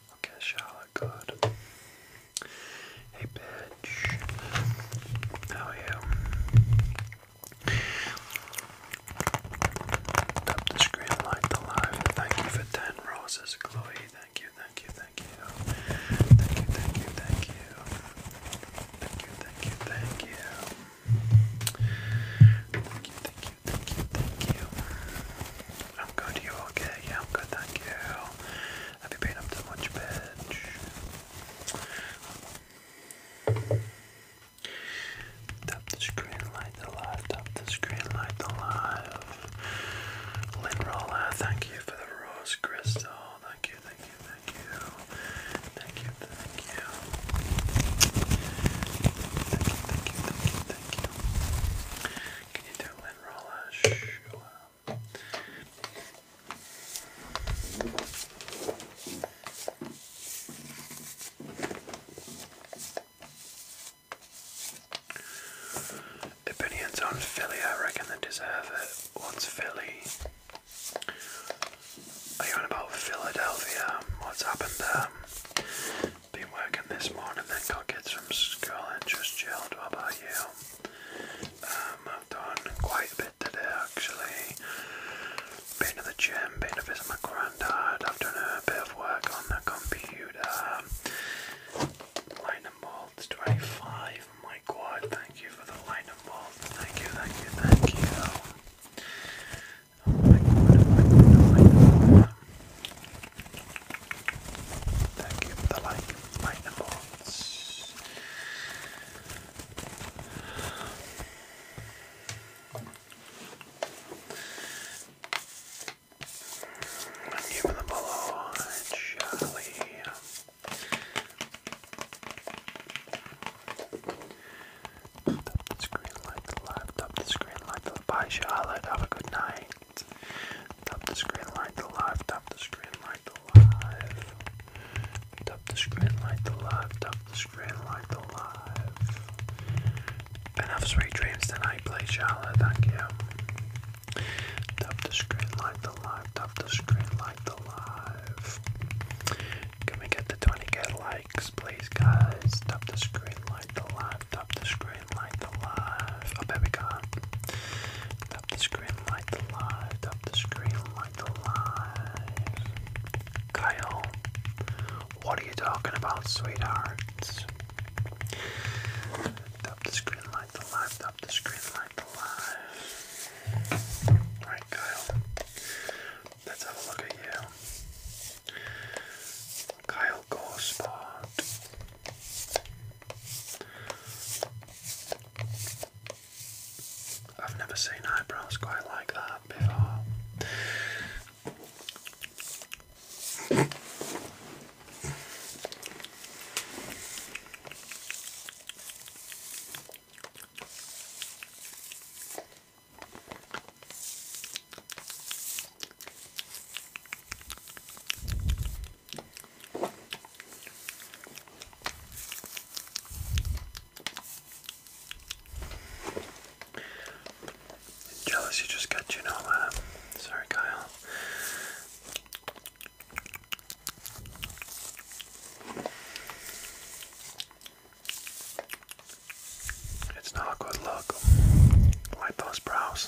Okay, Charlotte, good. Hey, bitch. How are you? Tap the screen, like the live. Thank you for 10 roses, Chloe. Thank you, thank you, thank you. Thank you, thank you, thank you. Thank you, thank you, thank you, thank you. I'm good, you okay? Yeah, I'm good, thank you. Have you been up to much, bitch? Tap the screen light alive, tap the screen light alive. Lynn Roller, thank you for the rose crystal. Thank you, thank you, thank you. Thank you, thank you. Thank you, thank you, thank you, Can you do Lynn Opinions on Philly, I reckon they deserve it. What's Philly? Are you on about Philadelphia? What's happened there? Been working this morning, then got kids from school and just chilled. What about you? Um, I've done quite a bit today actually. Been to the gym, been to visit my granddad, I've done a bit of work on the computer. Line and 25, my god, thank you for the lightning and Thank you, thank you, thank you. Oh Thank you for the like, like the bots. Thank you for the follow, Charlie. Top the screen, like the laptop, screen, like the bye, Charlotte. Have a good night light. Tap the screen, light the live. Tap the screen, light the live. Tap the screen, light the live. Tap the screen, light the live. Been have sweet dreams tonight, please, Charlotte. Thank you. Tap the screen, light the live. Tap the screen, light the live. Can we get the 20k likes, please, guys? Tap the screen, light the live. Tap the screen, light the live. I oh, bet we can't. Up the screen like the light, up the screen like the light. Kyle, what are you talking about, sweetheart? Up the screen like the light, up the screen like the light. Alright, Kyle, let's have a look at you. Kyle Gospot. I've never seen eyebrows quite like that before. Jealous you just got you know uh, sorry Kyle. It's not a good look. Like those brows.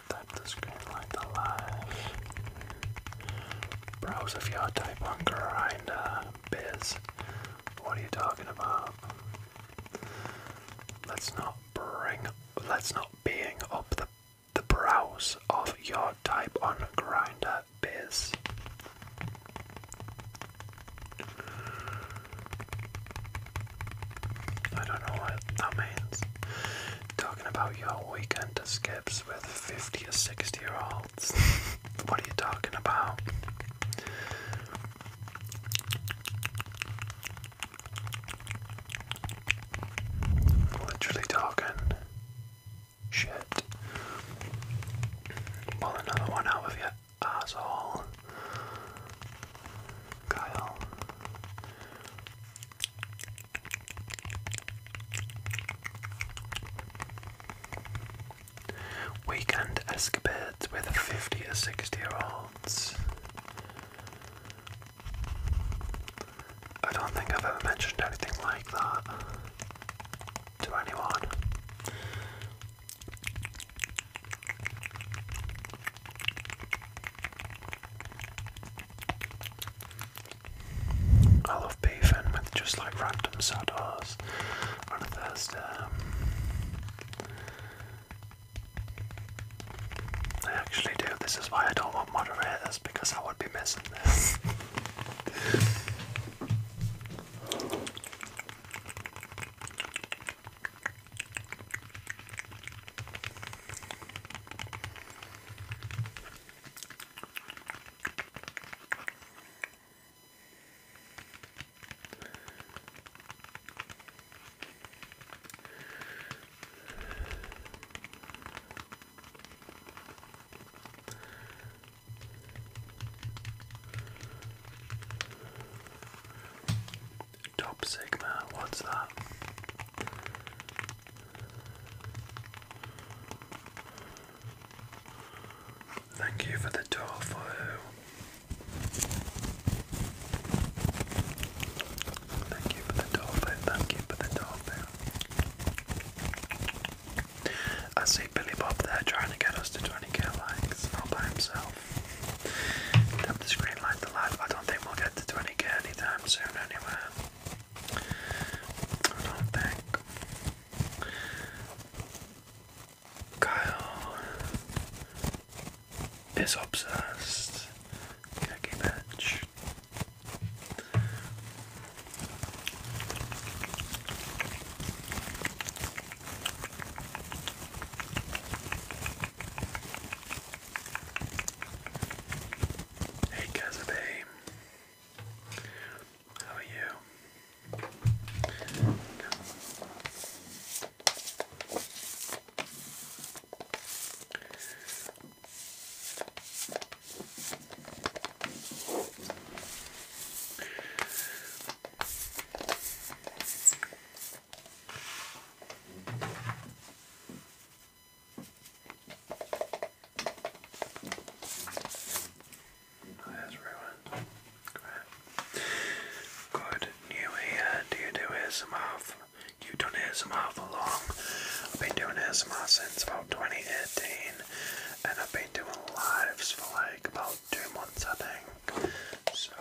type the screen type on grind uh, biz, what are you talking about? Let's not bring, let's not being up the the browse of your type on grinder biz. I don't know what that means. Talking about your weekend escapes with 50 or 60 year olds. what are you talking about? Literally talking shit. Pull another one out of your asshole. Kyle. We can Weekend escapades with 50 or 60 year olds. I don't think I've ever mentioned anything like that to anyone. I love beef and with just like random saddles on a Thursday. I actually do. This is why I don't want moderators because I would be missing this. Top Sigma, what's that? Thank you for the tofu. Thank you for the tofu. Thank you for the tofu. I see Billy Bob there trying to get us to 20k likes all by himself. Tap the screen like the live. I don't think we'll get to 20k anytime soon anyway. I Kyle is obsessed. Cookie patch. Hey Kazabe, how are you? That's ruined. Great. Good. New here. Do you do ASMR? For, you've done ASMR for long. I've been doing ASMR since about 2018, and I've been doing lives for like about two months, I think. So,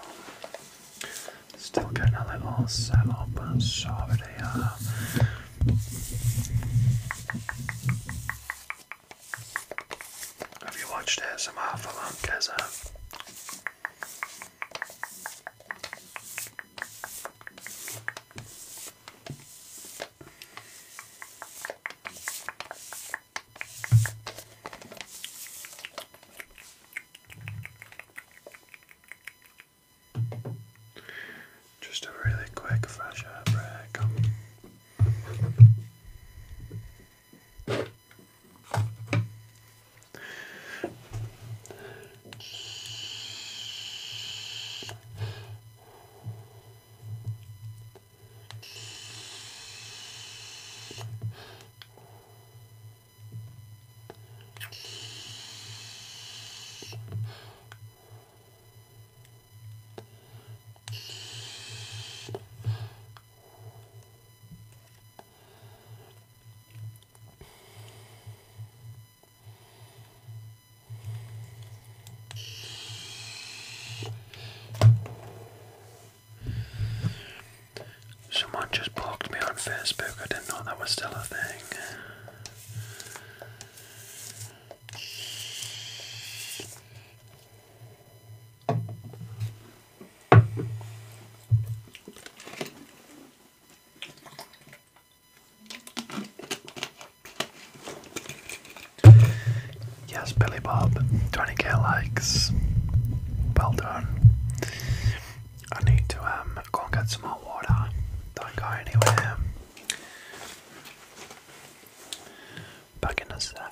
still kind getting a little set up and sorted here. Have you watched ASMR for long, Keza? Just a really quick fresh air break. Um, Someone just blocked me on Facebook. I didn't know that was still a thing. Yes, Billy Bob, 20k likes. Well done. I need to um go and get some more water. Don't go anywhere. Back in a sec.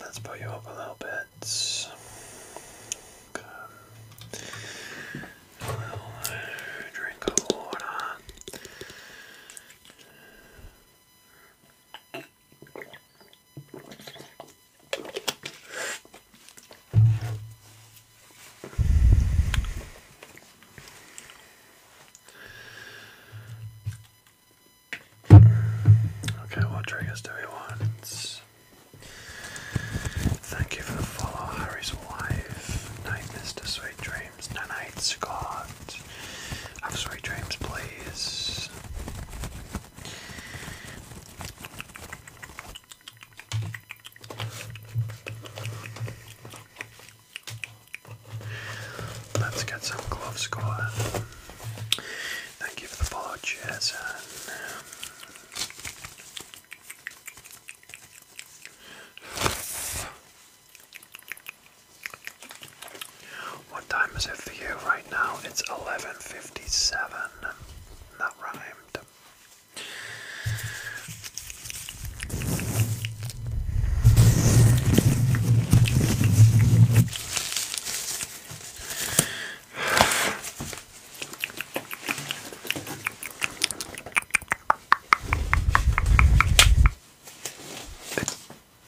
Let's put you up a little bit. Okay. little drink of water. Okay, what triggers do we want? Thank you for the Harry's wife. Night, Mr. Sweet Dreams. Tonight, Scott. God. Have sweet dreams, please. Let's get some gloves Scott. Thank you for the follow, Jason. What time is it for you right now? It's 11.57. That rhymed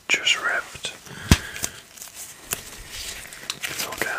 just ripped. It's okay.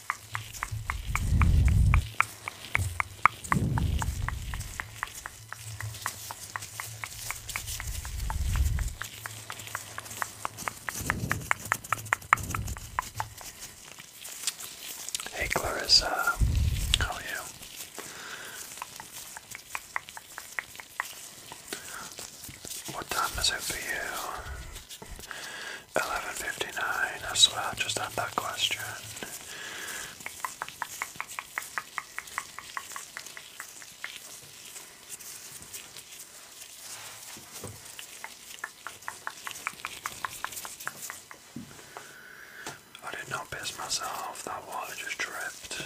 Hey Clarissa, how are you? What time is it for you? 11.59, I swear I just had that question. I did not piss myself, that water just dripped.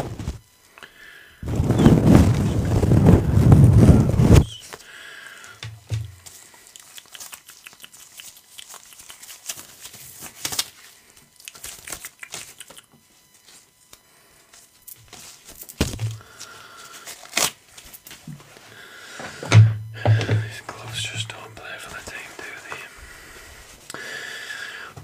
These gloves just don't play for the team, do they?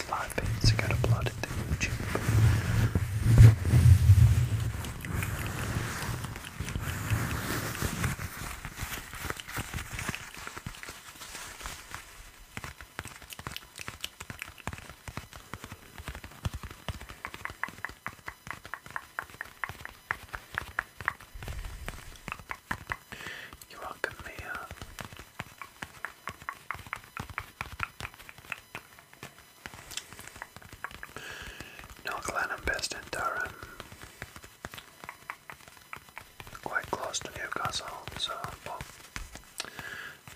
these live feeds to get uploaded to YouTube. You're welcome, Mia. North best in Durham. Quite close to Newcastle, so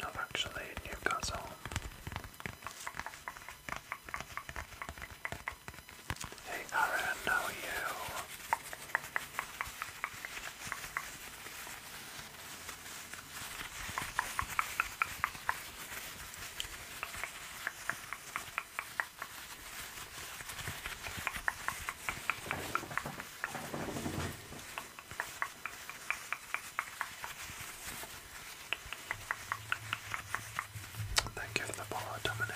not actually Newcastle. Hey Aaron, how you? Thank you for the follow, Dominic.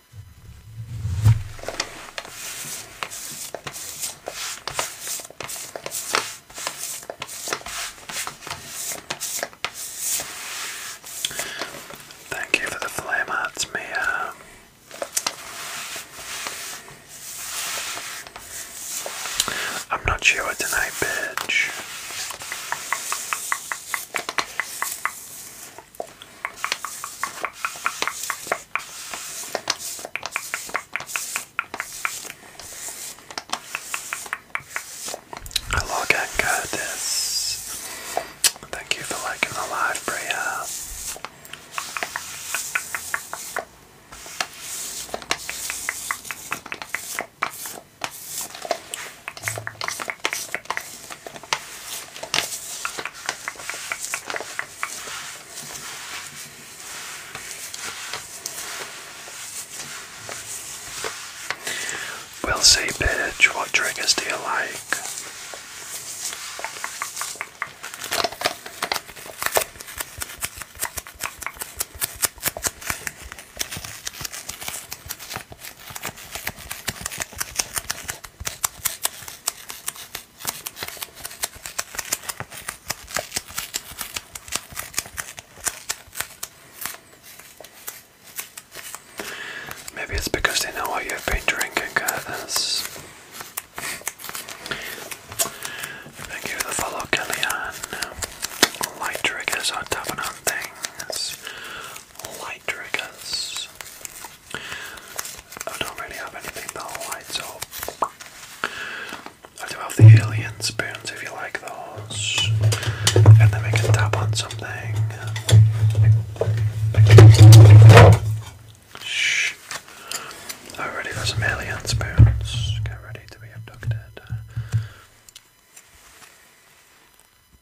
Thank you for the flame arts, Mia. I'm not sure tonight, bitch. Hello again, Curtis. Thank you for liking the live, Priya. We'll see, bitch, what triggers do you like? Maybe it's because they know what you've been drinking, you for the follow, Kellyanne. Light are tapping on things. Light I don't really have anything that lights up. I do have the alien spoons if you like those. And then we can tap on something. Shh. i ready for some alien spoons. Get ready to be abducted.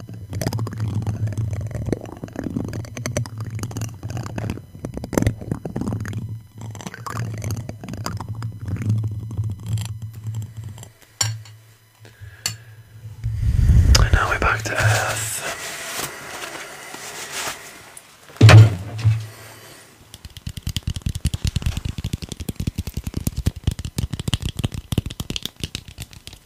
And now we're back to Earth.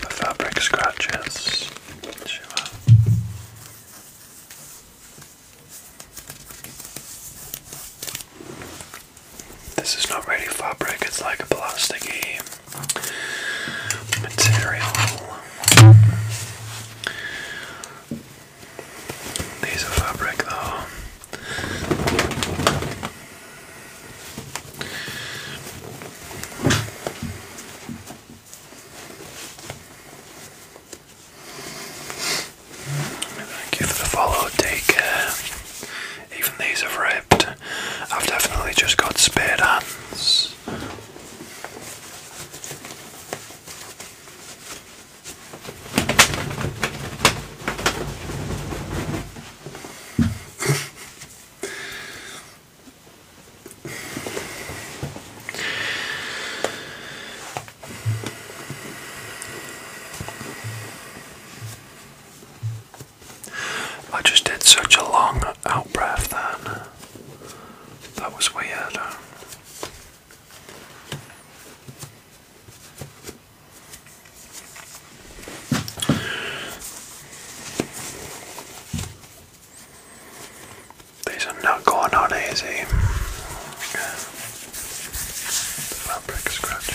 the fabric scratches. This is not really fabric, it's like a plasticky material. These are fabric though. Thank you for the follow, take care. Uh, even these have ripped. I've definitely just got spared hands. I just did such a long out breath then. That was weird. These are not going on easy. fabric scratching.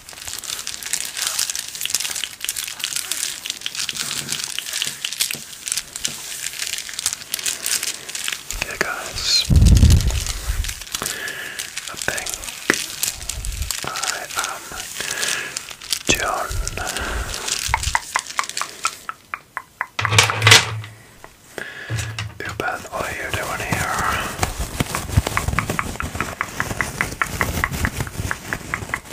Yeah, guys, I think I am John. Ben, what are you doing here?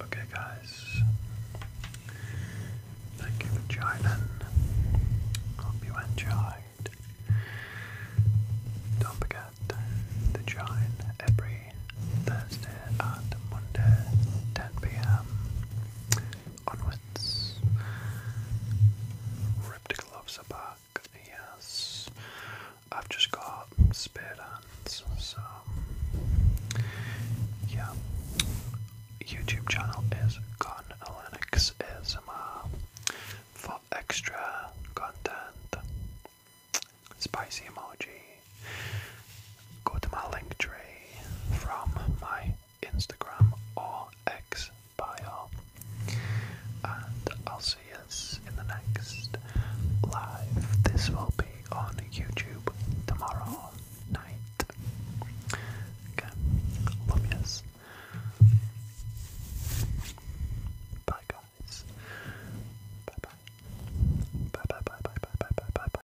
Okay, guys. Thank you for joining. Hope you enjoyed. Don't forget to join every Thursday and Monday, 10 p.m. Onwards. Rip gloves apart, yes. I've just got spare hands, so yeah. YouTube channel is Con Linux uh, for extra content. Spicy emoji, Go to my link tree from my Instagram or and I'll see us in the next live. This will be on YouTube tomorrow night. Okay, love yous. Bye guys. bye. Bye bye bye bye bye bye bye bye bye.